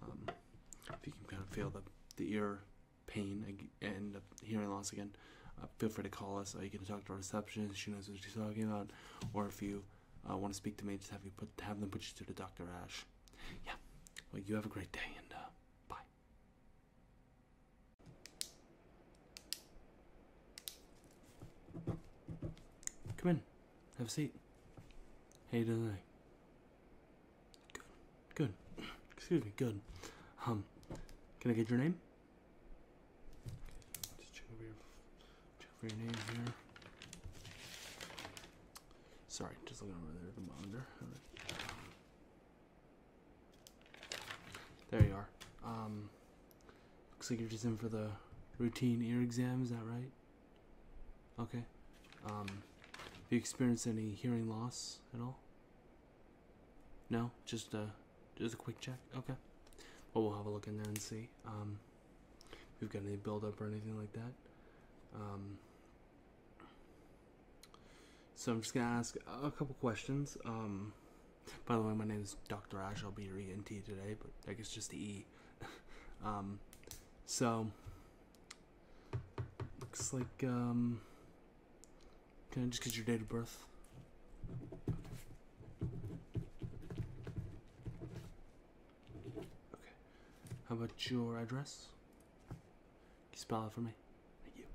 um, if you can kind of feel the, the ear pain and hearing loss again, uh, feel free to call us. Uh, you can talk to our receptionist; she knows what she's talking about. Or if you want to speak to me, just have you put have them put you through to Dr. Ash. Yeah. Well, you have a great day and. bye. Come in. Have a seat. Hey, you Good. Good. Excuse me. Good. Um, can I get your name? Sorry, just looking over there at the monitor. There you are. Um, looks like you're just in for the routine ear exam. Is that right? Okay. Um, have you experienced any hearing loss at all? No, just a uh, just a quick check. Okay. Well, we'll have a look in there and see. Um, if you've got any buildup or anything like that. Um, so I'm just gonna ask a couple questions. Um, by the way, my name is Dr. Ash. I'll be your ENT today, but I guess just the E (laughs) Um, so looks like um, can I just get your date of birth? Okay. How about your address? you spell it for me? Thank you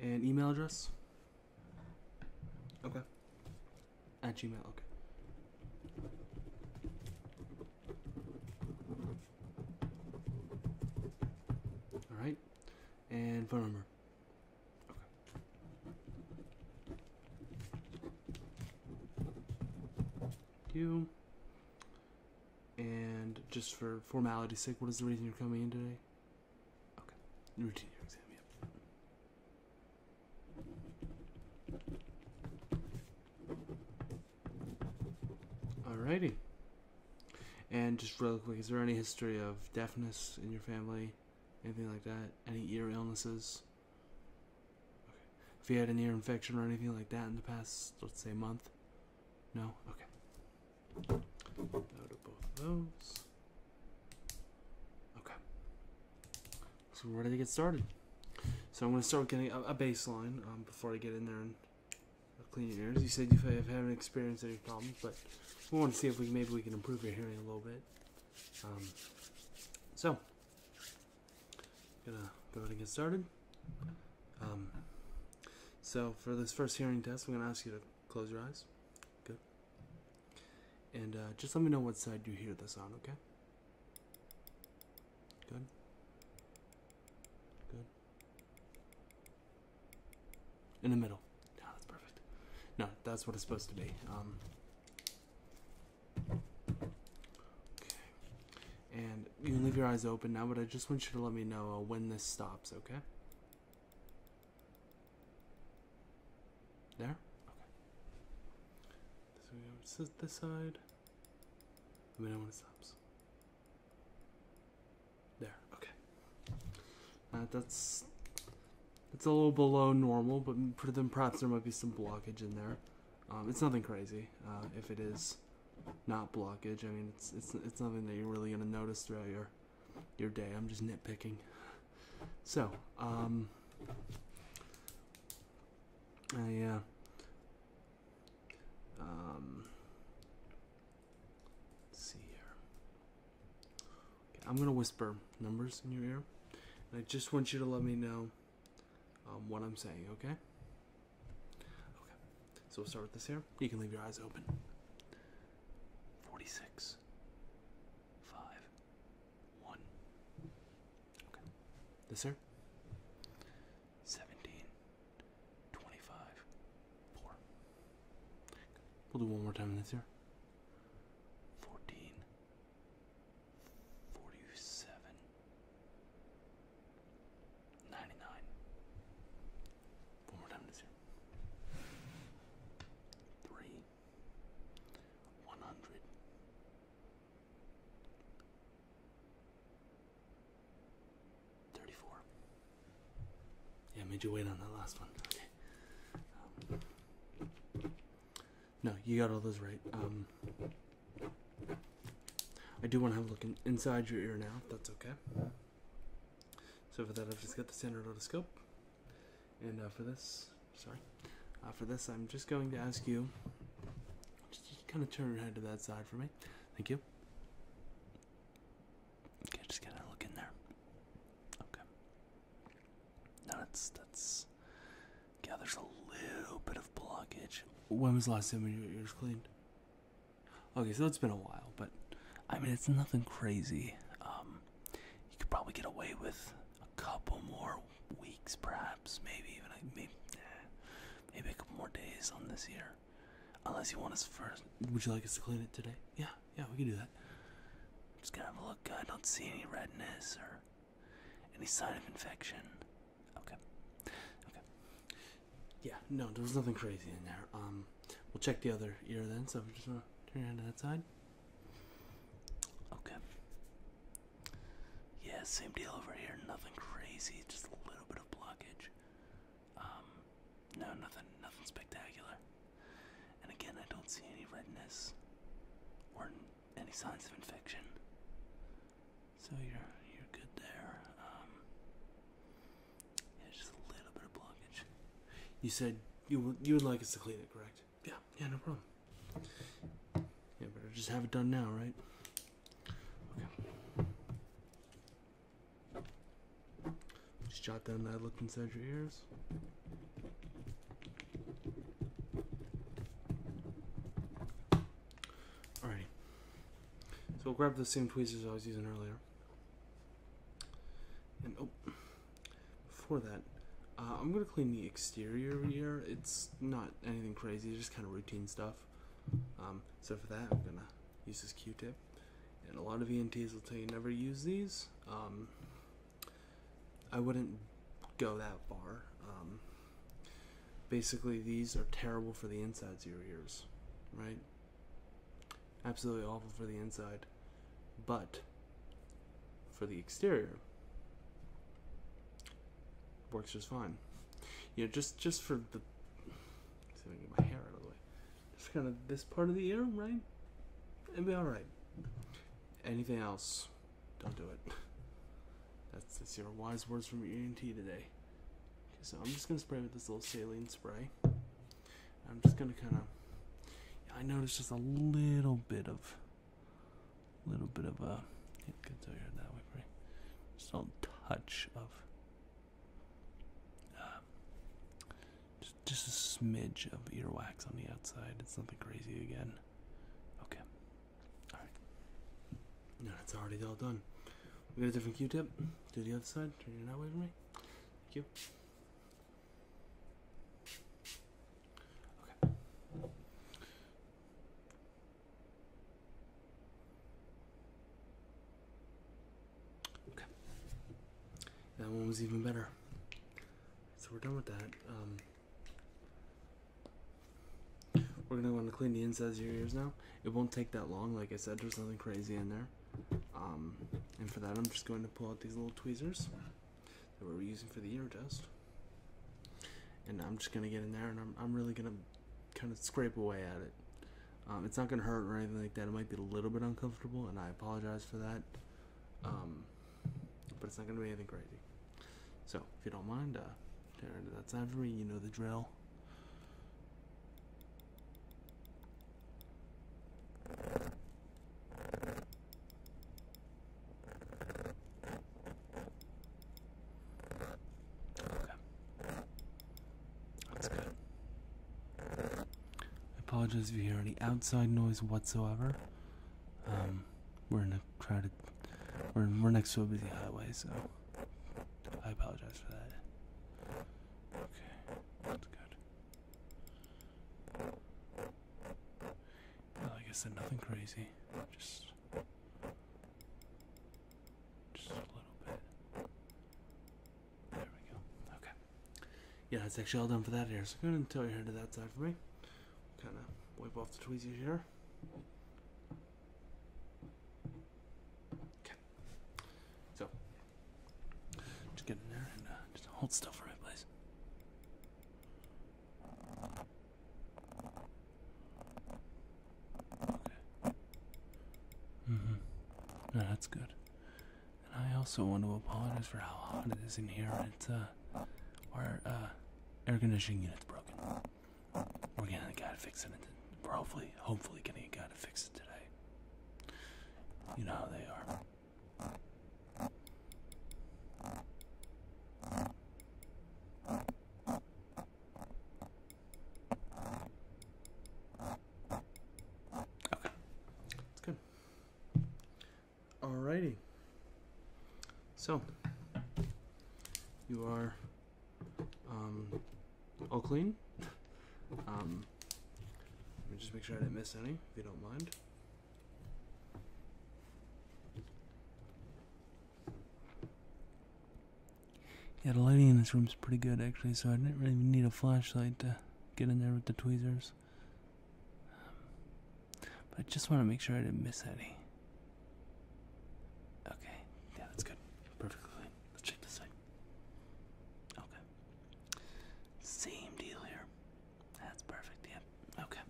and email address? Okay. At Gmail, okay. All right. And phone number. Okay. You. And just for formality's sake, what is the reason you're coming in today? Okay. Routine year exam, yep. righty. And just real quick, is there any history of deafness in your family? Anything like that? Any ear illnesses? Okay. Have you had an ear infection or anything like that in the past, let's say, month? No? Okay out of both those. Okay. So we're ready to get started. So I'm going to start getting a, baseline um, before I get in there and clean your ears. You said you have, not experienced any problems, but we want to see if maybe we can improve your hearing a little bit. Um, so, gonna go ahead and get started. Um, so for this first hearing test, I'm gonna ask you to Close your eyes. Good. And uh, just let me know what side you hear the sound, okay? Good. Good. In the middle. No, that's perfect. No, that's what it's supposed to be. Um, okay. And you can leave your eyes open now, but I just want you to let me know uh, when this stops, okay? There? Okay. So we go this side. The mean, I stops. There, okay. Uh, that's it's a little below normal, but then perhaps there might be some blockage in there. Um, it's nothing crazy. Uh, if it is not blockage, I mean, it's it's it's nothing that you're really gonna notice throughout your your day. I'm just nitpicking. So, um, I, uh, um, see here. I'm going to whisper numbers in your ear, and I just want you to let me know um, what I'm saying, okay? Okay. So we'll start with this here. You can leave your eyes open. 46. Okay. This here. 17. 25. 4. We'll do one more time this here. 14. One more time this year. Three. One hundred. Thirty-four. Yeah, made you wait on that last one. Okay. Um, no, you got all those right. Um, I do want to have a look inside your ear now, that's okay. So for that, I've just got the standard otoscope. And uh, for this, sorry, uh, for this, I'm just going to ask you just kind of turn your head to that side for me. Thank you. Okay, just get a look in there. Okay. Now that's that's yeah. There's a little bit of blockage. When was the last time you got ears cleaned? Okay, so it's been a while, but I mean, it's nothing crazy. Um, you could probably get away with a couple more weeks, perhaps, maybe even like maybe, eh, maybe a couple more days on this year, unless you want us first. Would you like us to clean it today? Yeah, yeah, we can do that. just gonna have a look. I don't see any redness or any sign of infection. Okay, okay. Yeah, no, there was nothing crazy in there. Um, We'll check the other ear then. So we just want to turn it to that side. Okay. Yeah, same deal over here. Nothing crazy. Just a little bit of blockage. Um, no, nothing, nothing spectacular. And again, I don't see any redness or any signs of infection. So you're you're good there. Um, just a little bit of blockage. You said you would you would like us to clean it, correct? Yeah, yeah, no problem. Yeah, better just have it done now, right? Okay. Just jot down that I looked inside your ears. Alrighty. So we'll grab the same tweezers I was using earlier. And oh, before that, uh, I'm gonna clean the exterior here. It's not anything crazy, just kind of routine stuff. Um, so for that, I'm gonna use this Q-tip. And a lot of ENTs will tell you never use these. Um, I wouldn't go that far. Um, basically, these are terrible for the insides of your ears, right? Absolutely awful for the inside, but for the exterior, works just fine. You know, just just for the see if I can get my hair out of the way. Just kind of this part of the ear, right? It'd be all right. Anything else, don't do it. That's, that's your wise words from E and T today. Okay, so I'm just gonna spray with this little saline spray. I'm just gonna kind of. I noticed just a little bit of, little bit of a. Yeah, good to that way, right? Just a little touch of. Uh, just, just a smidge of earwax on the outside. It's nothing crazy again. Okay. All right. No, it's already all done. We got a different Q-tip. Do the other side. Turn it that way for me. Thank you. That one was even better. So we're done with that. Um, we're gonna want to clean the insides of your ears now. It won't take that long. Like I said, there's nothing crazy in there. Um, and for that, I'm just going to pull out these little tweezers that we are using for the ear test. And I'm just going to get in there and I'm, really going to kind of scrape away at it. Um, it's not going to hurt or anything like that. It might be a little bit uncomfortable, and I apologize for that. Um, but it's not going to be anything crazy. So, if you don't mind, uh, tear into that side You know the drill. That's good. I apologize if you hear any outside noise whatsoever. Um, we're in a crowded, we're, we're next to a busy highway, so I apologize for that. Okay, that's good. Yeah, like I said, nothing crazy. Just, just a little bit. There we go. Okay. Yeah, it's actually all done for that here. So go ahead and tilt your head to that side for me. Kind of wipe off the tweezers here. Okay. So just get in there and uh, just hold still for me, please. Okay. Mm-hmm. No, that's good. And I also want to apologize for how hot it is in here. It's uh, our uh, air conditioning unit's broken. We're getting a guy to fix it. We're hopefully, hopefully, getting a guy to fix it today. You know how they are. Okay, that's good. Alrighty. So, you are um, all clean. (laughs) Um, let me just make sure I didn't miss any, if you don't mind. Yeah, the lighting in this room is pretty good actually, so I didn't really need a flashlight to get in there with the tweezers. but I just want to make sure I didn't miss any. Okay, yeah, that's good. Perfectly clean. Let's check this side. Okay. Same deal here. That's perfect. Yep. Yeah. Okay.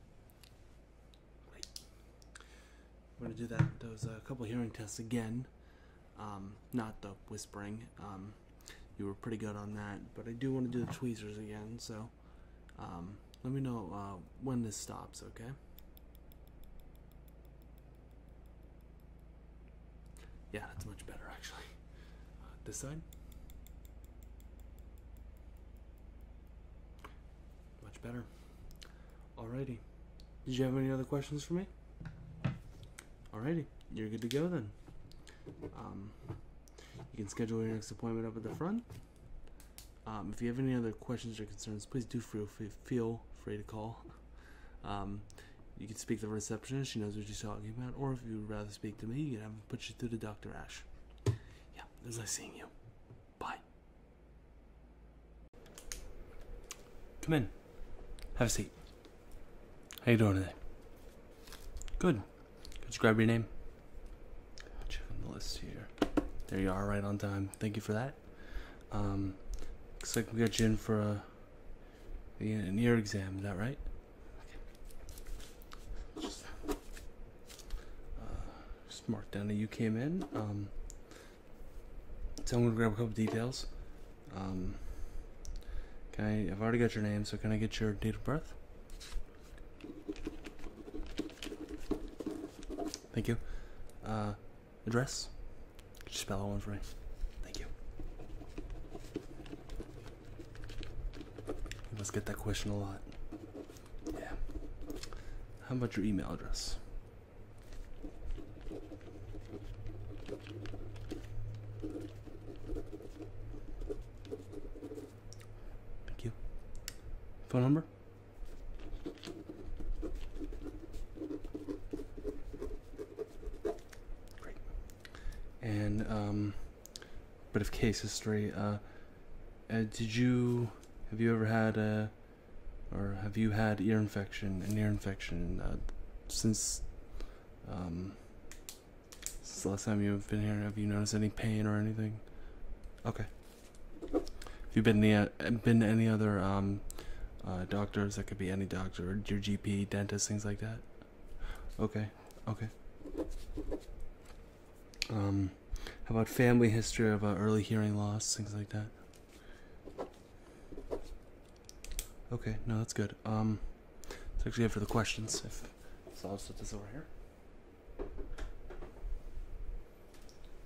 Great. We're gonna do that those a uh, couple hearing tests again. Um, not the whispering. Um, you were pretty good on that, but I do want to do the tweezers again. So, um, let me know uh, when this stops. Okay. Yeah, that's much better actually. This side. Much better. Alrighty. Did you have any other questions for me? Alrighty, you're good to go then. Um, you can schedule your next appointment up at the front. Um, if you have any other questions or concerns, please do feel feel free to call. Um, you can speak to the receptionist; she knows what she's talking about. Or if you would rather speak to me, you can put you through the doc. Dr. Ash. Yeah, it was nice seeing you. Bye. Come in. Have a seat. How you doing today? Good. Could you grab your name? Checking the list here. There you are, right on time. Thank you for that. Um, looks like we got you in for an ear exam. Is that right? Just, uh, mark down that you came in. Um, so I'm gonna grab a couple details. Um, can I? I've already got your name, so can I get your date of birth? Thank you. Uh, address? Could you spell that one for me? Thank you. You must get that question a lot. Yeah. How about your email address? Thank you. Phone number? Great. And, um, but of case history. Uh, uh, did you have you ever had a or have you had ear infection an ear infection uh, since um, since the last time you've been here? Have you noticed any pain or anything? Okay. Have you been the uh, been any other um, doctors? That could be any doctor, your GP, dentist, things like that. Okay. Okay. Um, how about family history of uh, early hearing loss, things like that? Okay, no, that's good. Um, it's actually good for the questions. If so, I'll set this over here.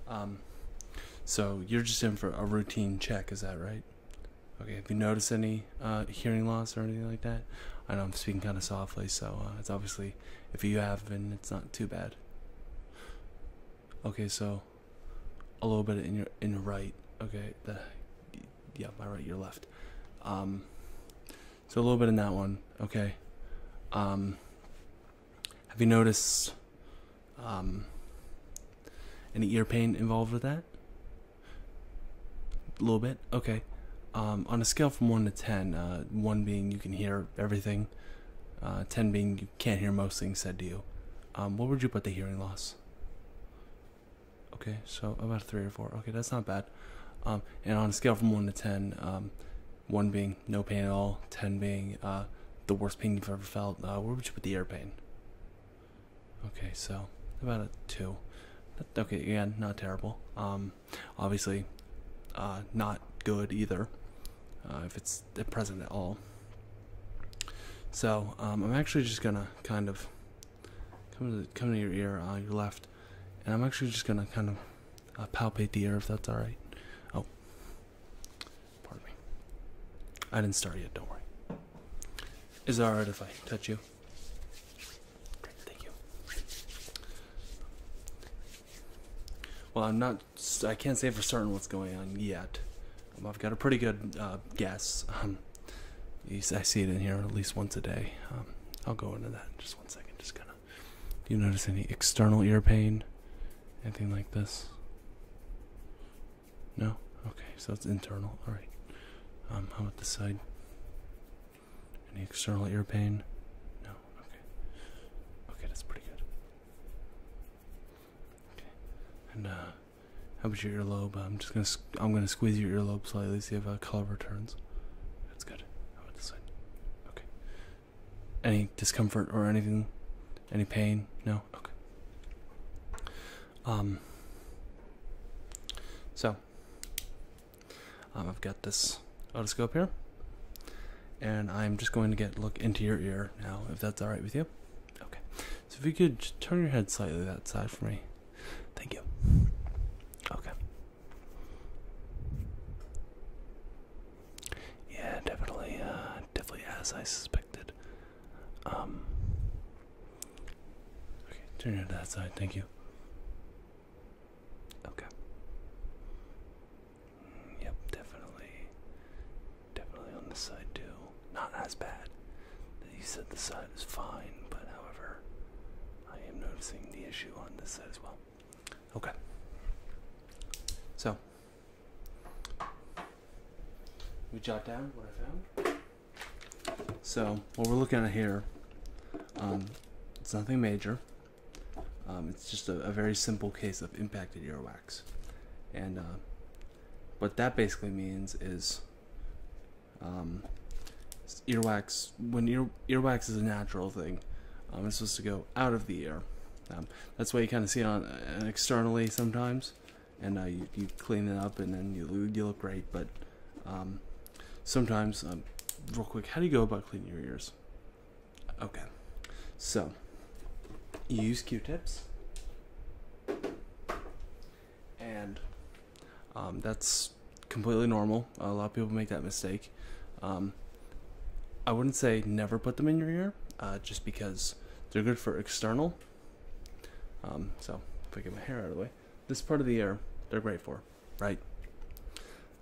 Um, so you're just in for a routine check, is that right? Okay, have you noticed any uh, hearing loss or anything like that? I know I'm speaking kind of softly, so uh, it's obviously, if you have not it's not too bad. Okay, so a little bit in your in your right. Okay, the yeah, my right, your left. Um, so a little bit in that one. Okay. Um, have you noticed um, any ear pain involved with that? A little bit. Okay. Um, on a scale from one to ten, uh, one being you can hear everything, uh, ten being you can't hear most things said to you. Um, what would you put the hearing loss? Okay, so about three or four. Okay, that's not bad. Um, and on a scale from one to ten, one being no pain at all, ten being uh, the worst pain you've ever felt. where would you put the ear pain? Okay, so about a two. Okay, again, yeah, not terrible obviously uh, not good either uh, if it's present at all. So um, I'm actually just gonna kind of come to, come to your ear, on uh, your left, and I'm actually just gonna kind of palpate the ear if that's all right. Oh, pardon me. I didn't start yet. Don't worry. Is it all right if I touch you? Well, I'm not. I can't say for certain what's going on yet. Um, I've got a pretty good uh, guess. Um, I see it in here at least once a day. Um, I'll go into that in just one second. Just kind of. Do you notice any external ear pain? Anything like this? No. Okay, so it's internal. All right. how about the side? Any external ear pain? No. Okay. Okay, that's pretty good. Okay. And uh, how about your earlobe? I'm just gonna I'm gonna squeeze your earlobe slightly, see if uh, color returns. That's good. How about this side? Okay. Any discomfort or anything? Any pain? No. Okay. Um. So, um, I've got this otoscope here, and I'm just going to get look into your ear now, if that's all right with you. Okay. So if you could turn your head slightly that side for me. Thank you. Okay. Yeah, definitely, uh, definitely as I suspected. Um, okay, turn it to that side. Thank you. Okay. Mm, yep, definitely. Definitely on this side too. Not as bad. You said the side is fine, but however, I am noticing the issue on this side as well. Okay. So, we jot down what I found. So, what we're looking at here, um, it's nothing major. Um, it's just a, very simple case of impacted earwax. And uh, what that basically means is um, earwax, when ear, earwax is a natural thing, um, it's supposed to go out of the ear. that's why you kind of see it on uh, externally sometimes, and uh, you, clean it up and then you look great, but sometimes, um, real quick, how do you go about cleaning your ears? Okay, so you use Q-tips, and um, that's completely normal. A lot of people make that mistake. Um, I wouldn't say never put them in your ear, uh, just because they're good for external. so if I get my hair out of the way, this part of the ear, they're great for right?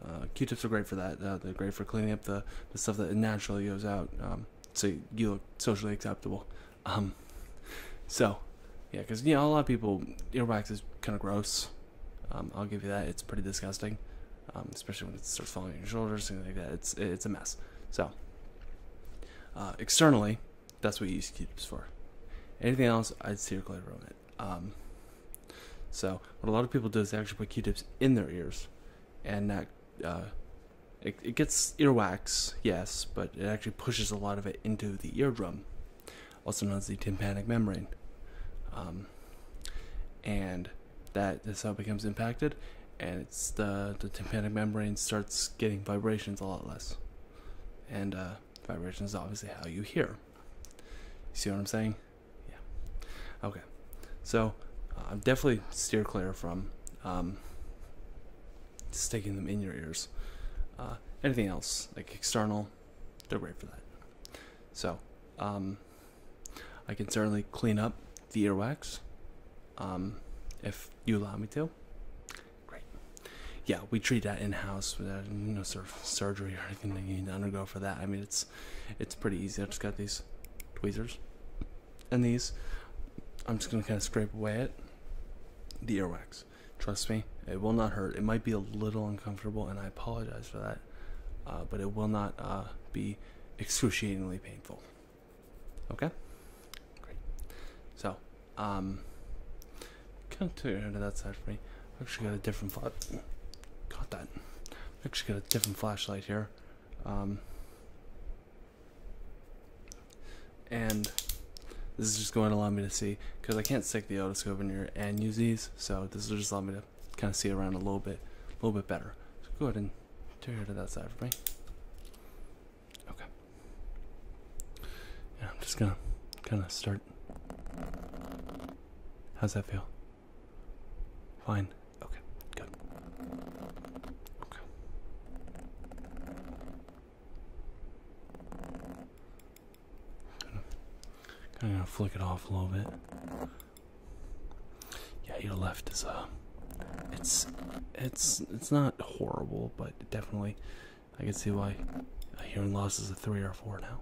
Uh, Q-tips are great for that. Uh, they're great for cleaning up the, the stuff that naturally goes out, um, so you look socially acceptable. Um, so, yeah, because you a lot of people earwax is kind of gross. Um, I'll give you that. It's pretty disgusting, especially when it starts falling on your shoulders, and like that. It's it's a mess. So, uh, externally, that's what you use Q-tips for. Anything else, I'd steer clear of. Um, so what a lot of people do is they actually put Q-tips in their ears, and that uh, it, gets earwax, yes, but it actually pushes a lot of it into the eardrum, also known as the tympanic membrane, um, and that is how it becomes impacted, and it's the tympanic membrane starts getting vibrations a lot less, and uh, vibrations is obviously how you hear. You see what I'm saying? yeah. Okay, so uh, I'm definitely steer clear from um, sticking them in your ears. Uh, anything else like external, they're great for that. So um, I can certainly clean up the earwax um, if you allow me to. Great. Yeah, we treat that in house without no surgery or anything that you need to undergo for that. I mean, it's it's pretty easy. I just got these tweezers and these. I'm just gonna kind of scrape away at the earwax. Trust me, it will not hurt. It might be a little uncomfortable, and I apologize for that, uh, but it will not uh, be excruciatingly painful. Okay, great. So, um, come to that side for me actually got a different flash. Caught that. Actually got a different flashlight here. Um, and this is just going to allow me to see because I can't stick the otoscope in here and use these. So this will just allow me to kind of see around a little bit, a little bit better. So go ahead and tear her to that side for me. Okay. And I'm just gonna kind of start. How's that feel? Fine. Okay. Good. Okay. Kind of flick it off a little bit. Yeah, your left is uh, it's it's it's not horrible, but definitely I can see why hearing loss is a three or four now.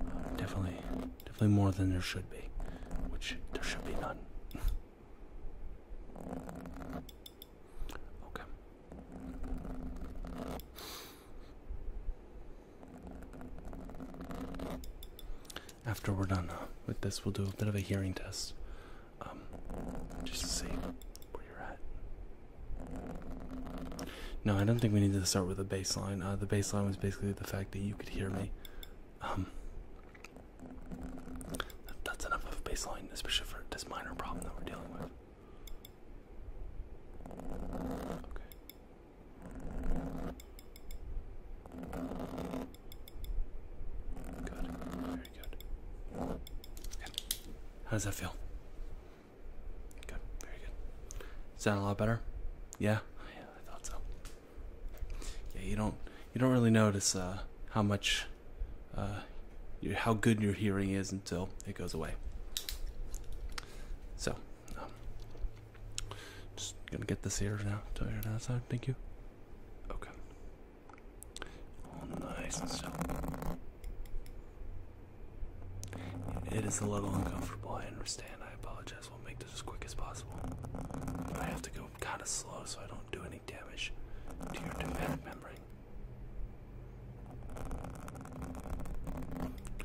Uh, definitely Definitely more than there should be, which there should be none. okay. After we're done uh, with this, we'll do a bit of a hearing test, um, just to see where you're at. No, I don't think we need to start with a baseline. Uh, the baseline was basically the fact that you you could hear me. Um, that's enough of baseline, especially for this minor problem that we're dealing with. Okay. Good. Very good. Okay. How does that feel? Good. Very good. Sound a lot better? Yeah? I thought so. Yeah, you don't you don't really notice uh, how much uh, how good your hearing is until it goes away. So, um, just gonna get this here now. To here now, side. Thank you. Okay. All nice and still. It is a little uncomfortable. I understand. I apologize as well make this as quick as possible. I have to go kind of slow so I don't do any damage to your tympanic membrane.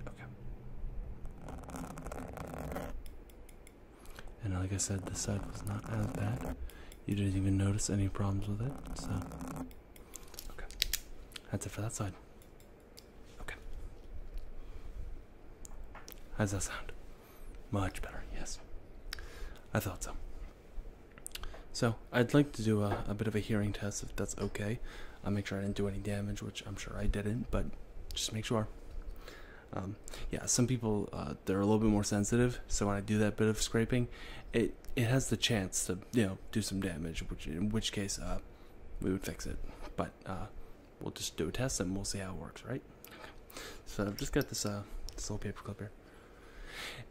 Okay. And like I said, this side was not as bad. You didn't even notice any problems with it, so. Okay. That's it for that side. Okay. How's that sound? Much better, yes. I thought so. So, I'd like to do a, bit of a hearing test if that's okay. I'll make sure I didn't do any damage, which I'm sure I didn't, but just make sure. Um, yeah, some people uh, they're a little bit more sensitive, so when I do that bit of scraping, it it has the chance to you know do some damage, which in which case uh, we would fix it. But uh, we'll just do a test and we'll see how it works, right? So I've just got this uh little paper clip here.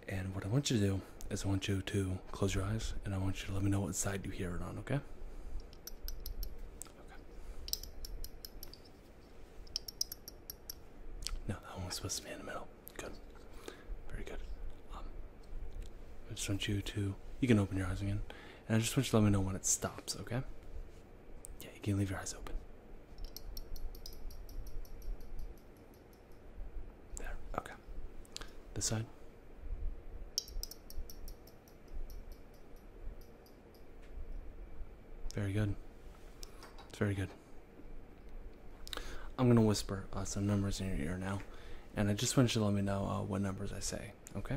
And what I want you to do is I want you to close your eyes and I want you to let me know what side you hear it on, okay? Okay. No, that one's supposed to be in the middle. Good. Very good. Um, I just want you to you can open your eyes again and I just want you to let me know when it stops, okay? Yeah, you can leave your eyes open. There, okay. This side. Very good. It's very good. I'm gonna whisper uh, some numbers in your ear now, and I just want you to let me know uh, what numbers I say. Okay.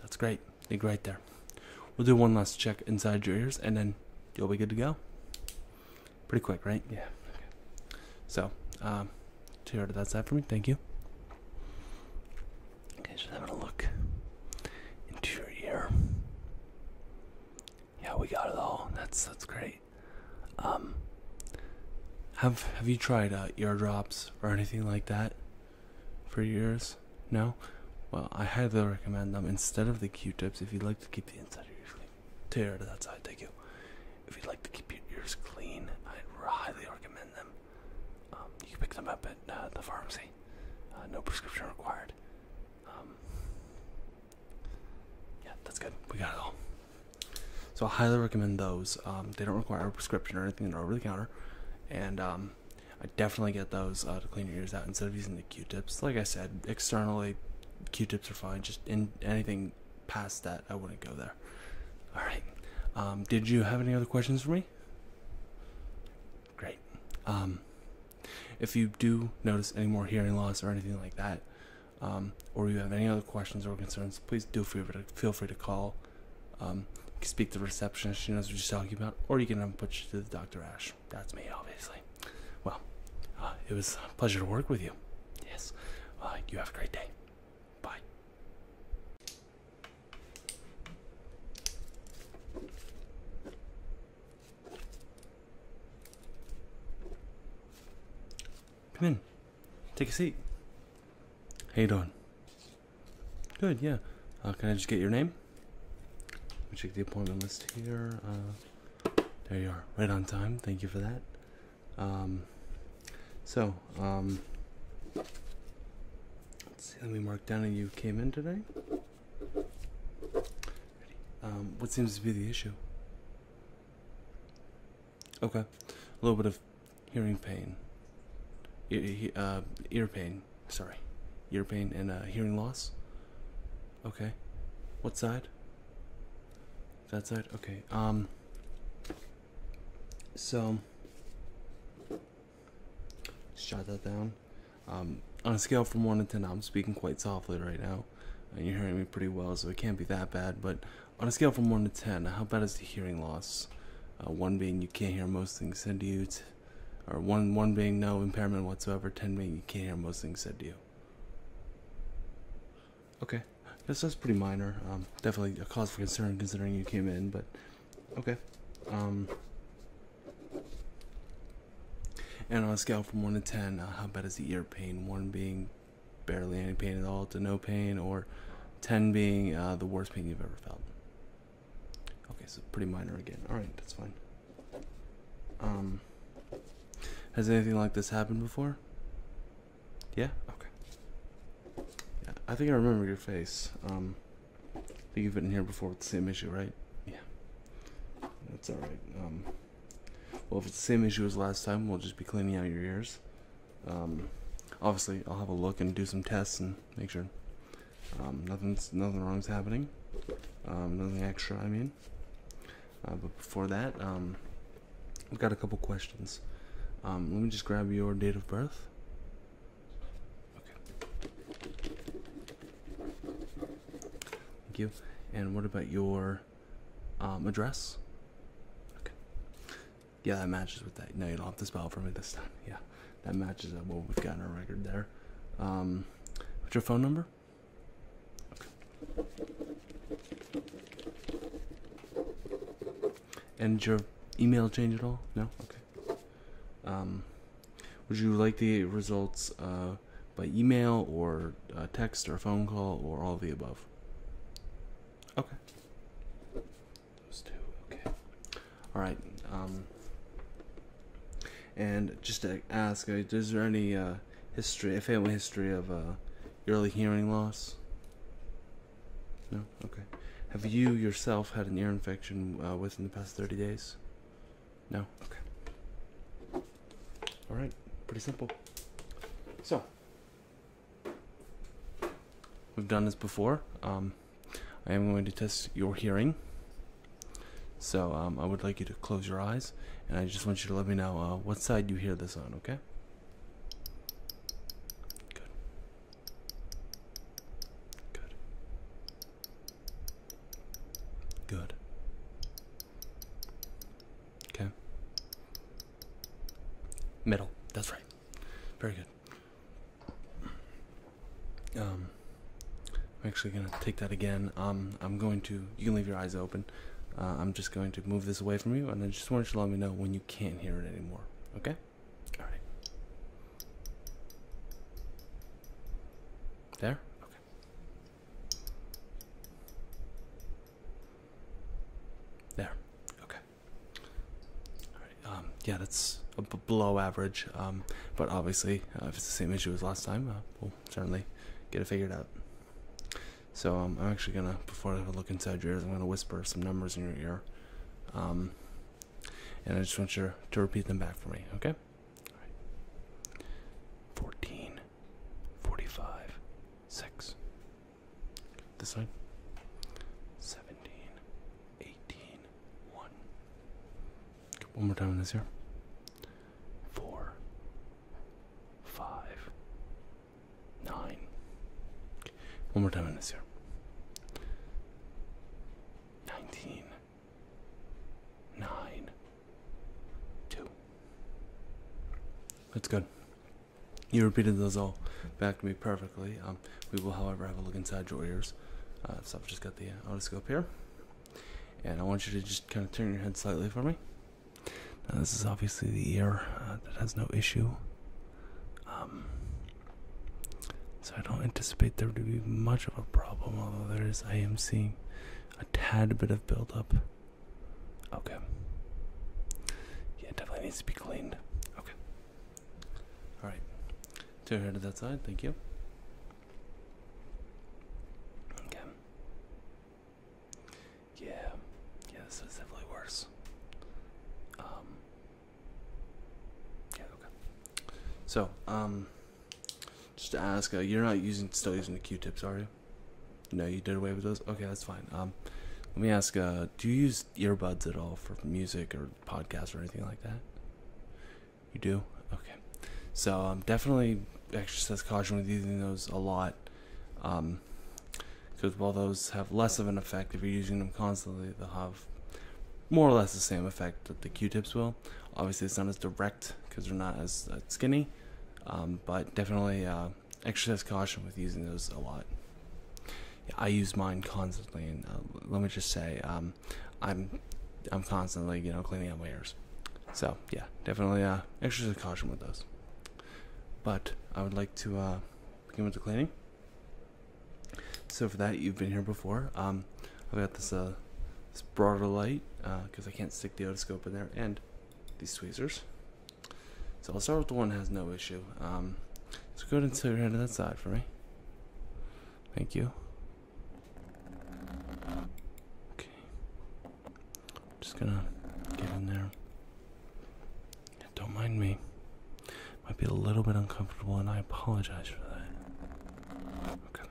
That's great. Dig great there. We'll do one last check inside your ears and then you'll be good to go. Pretty quick, right? Yeah. Okay. So, um, Tiara, that's that for me. Thank you. Okay, just having a look into your ear. Yeah, we got it all. That's that's great. Um, have have you tried uh, eardrops or anything like that? for ears, no. Well, I highly recommend them instead of the Q-tips if you'd like to keep the inside of your ears clean. Tear out of that side, thank you. If you'd like to keep your ears clean, i highly recommend them. Um, you can pick them up at uh, the pharmacy. Uh, no prescription required. Um, yeah, that's good. We got it all. So I highly recommend those. Um, they don't require a prescription or anything. They're over the counter. And um, I definitely get those uh, to clean your ears out instead of using the Q-tips. Like I said, externally, Q-tips are fine. Just in anything past that, I wouldn't go there. All right. Um, did you have any other questions for me? Great. Um, if you do notice any more hearing loss or anything like that, or you have any other questions or concerns, please do feel free to, feel free to call um, speak to reception. she knows what you're talking about. Or you can um, put you to the Dr. Ash. That's me, obviously. Well, uh, it was a pleasure to work with you. Yes. Uh, you have a great day. Bye. Come in. Take a seat. How you doing? Good, yeah. Uh, can I just get your name? Let check the appointment list here. Uh, there you are, right on time. Thank you for that. Um, so, um, let's see. Let me mark down that you came in today. Um, what seems to be the issue? Okay, a little bit of hearing pain, uh, ear, pain. Sorry, ear pain and uh, hearing loss. Okay, what side? That side. Okay. Um. So, shut that down. Um, on a scale from one to ten, I'm speaking quite softly right now, and you're hearing me pretty well, so it can't be that bad. But on a scale from one to ten, how bad is the hearing loss? Uh, one being you can't hear most things said to you, or one one being no impairment whatsoever. Ten being you can't hear most things said to you. Okay, this that's pretty minor. Um, definitely a cause for concern considering you came in, but okay. Um. and on a scale from one to ten, uh, how bad is the ear pain? One being barely any pain at all to no pain, or ten being uh, the worst pain you've ever felt. Okay, so pretty minor again. Alright, that's fine. Um has anything like this happened before? Yeah? Okay. Yeah, I think I remember your face. Um I think you've been here before with the same issue, right? Yeah. That's alright. Um well if it's the same issue as last time, we'll just be cleaning out your ears. Um, obviously, I'll have a look and do some tests and make sure um, nothing's nothing is happening. Um, nothing extra, I mean. Uh, but before that, we have got a couple questions. let me just grab your date of birth. Okay. Thank you. And what about your address? Okay. Yeah, that matches with that. No, you don't have to spell for me this time. (laughs) Yeah, that matches up what we've got in our record there. Um, what's your phone number? Okay. And your email change at all? No? Okay. Um, would you like the results uh, by email or uh, text or phone call or all of the above? Okay. Those two, okay. All right. Um, and just to ask, uh, is there any uh, history, family history of uh, early hearing loss? No? Okay. Have you yourself had an ear infection uh, within the past 30 days? No? Okay. All right. Pretty simple. So, we've done this before. Um, I am going to test your hearing. So um, I would like you to close your eyes, and I just want you to let me know uh, what side you hear this on, okay? Good. Good. Good. Okay. Middle. That's right. Very good. Um, I'm actually gonna take that again. Um, I'm going to. You can leave your eyes open. Uh, I'm just going to move this away from you, and I just want you to let me know when you can't hear it anymore. Okay? All right. There. Okay. There. Okay. Um, yeah, that's below average, um, but obviously, uh, if it's the same issue as last time, uh, we'll certainly get it figured out. So um, I'm actually gonna, before I look inside your ear, I'm gonna whisper some numbers in your ear, and I just want you to repeat them back for me, okay? All right. 14, 45, 6. This one. 17, 18, one. One more time on this here. Four, five, nine. One more time on this here. Nineteen, nine, two. That's good. You repeated those all back to me perfectly. Um, um, we will, however, have a look inside your ears. Uh, so I've just got the uh, otoscope here, and I want you to just kind of turn your head slightly for me. Now this is obviously the ear uh, that has no issue, um, so I don't anticipate there to be much of a problem. Although there is, I am seeing a tad bit of buildup. Okay. Yeah, it definitely needs to be cleaned. Okay. All right, turn her to that side. Thank you. Okay. Yeah, yeah, this is definitely worse. Um. Yeah. Okay. So, um, just to ask, uh, you're not using still using the Q-tips, are you? No, you did away with those. Okay, that's fine. Um, let me ask, uh, do you use earbuds at all for music or podcast or anything like that? You do? Okay. So um, definitely exercise caution with using those a lot. Um, because while those have less of an effect, if you're using them constantly, they'll have more or less the same effect that the Q-tips will. Obviously, it's not as direct because they're not as uh, skinny, um, but definitely uh, exercise caution with using those a lot. I use mine constantly, and uh, let me just say, um, I'm I'm constantly you know cleaning up my ears. So yeah, definitely uh, exercise caution with those. But I would like to uh, begin with the cleaning. So for that, you've been here before. Um, I've got this uh, broader light because uh, I can't stick the otoscope in there, and these tweezers. So I'll start with the one that has no issue. Um, so go ahead and tilt your hand to that side for me. Thank you. Okay. Just gonna get in there. Don't mind me. Might be a little bit uncomfortable, and I apologize for that. Okay.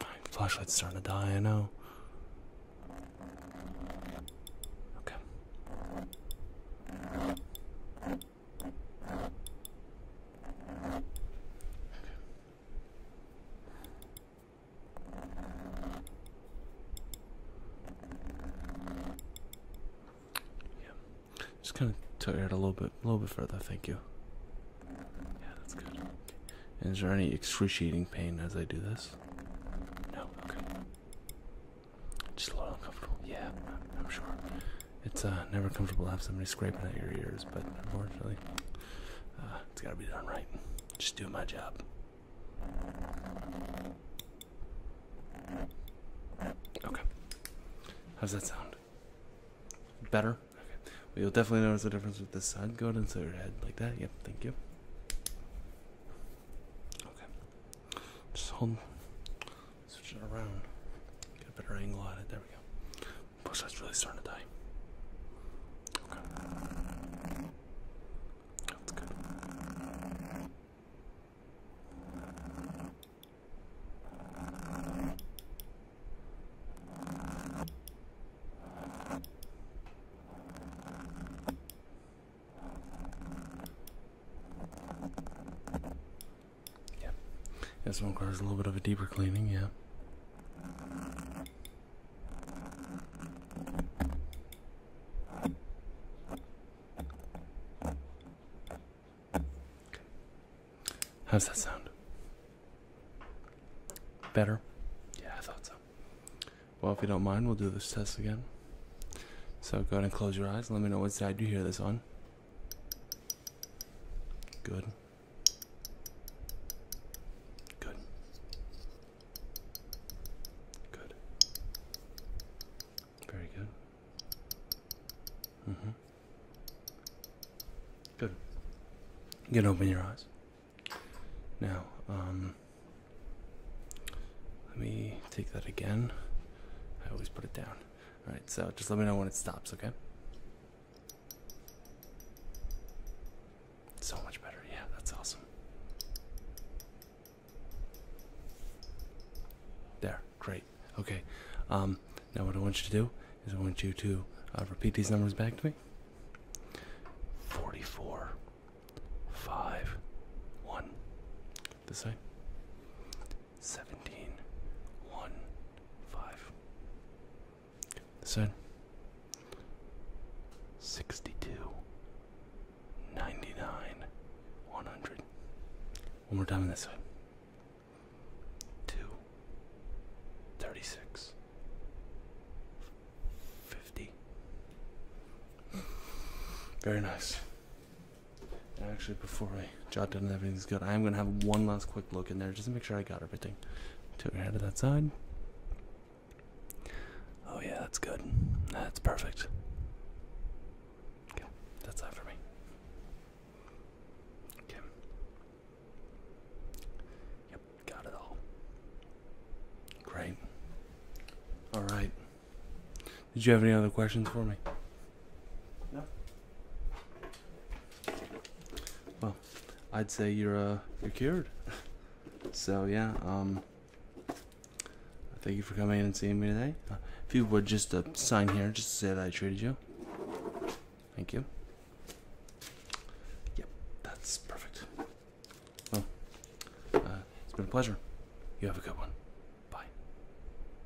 My flashlight's starting to die, I know. Okay. Yeah, just kind of took it a little bit, a little bit further. Thank you. Yeah, that's good. is there any excruciating pain as I do this? No. Okay. Just a little uncomfortable. Yeah, I'm, sure. It's uh, never comfortable to have somebody scraping at your ears, but unfortunately, uh, it's got to be done right. Just do my job. Okay. How's that sound? Better? Okay. Well, you'll definitely notice the difference with this side. Go ahead and set your head like that. Yep, thank you. Okay. Just hold. Switch it around. Get a better angle on it. There we go. Plus, that's really starting to die. Okay. That's good. Yeah. This one requires a little bit of a deeper cleaning, yeah. How's that sound? Better? Yeah, I thought so. Well, if you don't mind, we'll do this test again. So go ahead and close your eyes. Let me know what side you hear this on. Good. Good. Good. Very good. hmm Good. You can open your eyes. Now, um, let me take that again. I always put it down. All right, so just let me know when it stops, okay? So much better. Yeah, that's awesome. There, great. Okay, um, now what I want you to do is I want you to uh, repeat these numbers back to me. 44, 5, 1. This side seventeen one five. This side sixty two ninety nine one hundred. One more time on this side. Two thirty six fifty. Very nice. Actually, before I jot down everything's good, I am going to have one last quick look in there just to make sure I got everything. Took it out of that side. Oh yeah, that's good. That's perfect. Okay, that's that for me. Okay. Yep, got it all. Great. All right. Did you have any other questions for me? No. Well, I'd say you're uh, you're cured. (laughs) so yeah, um, thank you for coming in and seeing me today. Uh, if you would just uh, sign here, just to say that I treated you. Thank you. Yep, that's perfect. Well, uh, it's been a pleasure. You have a good one.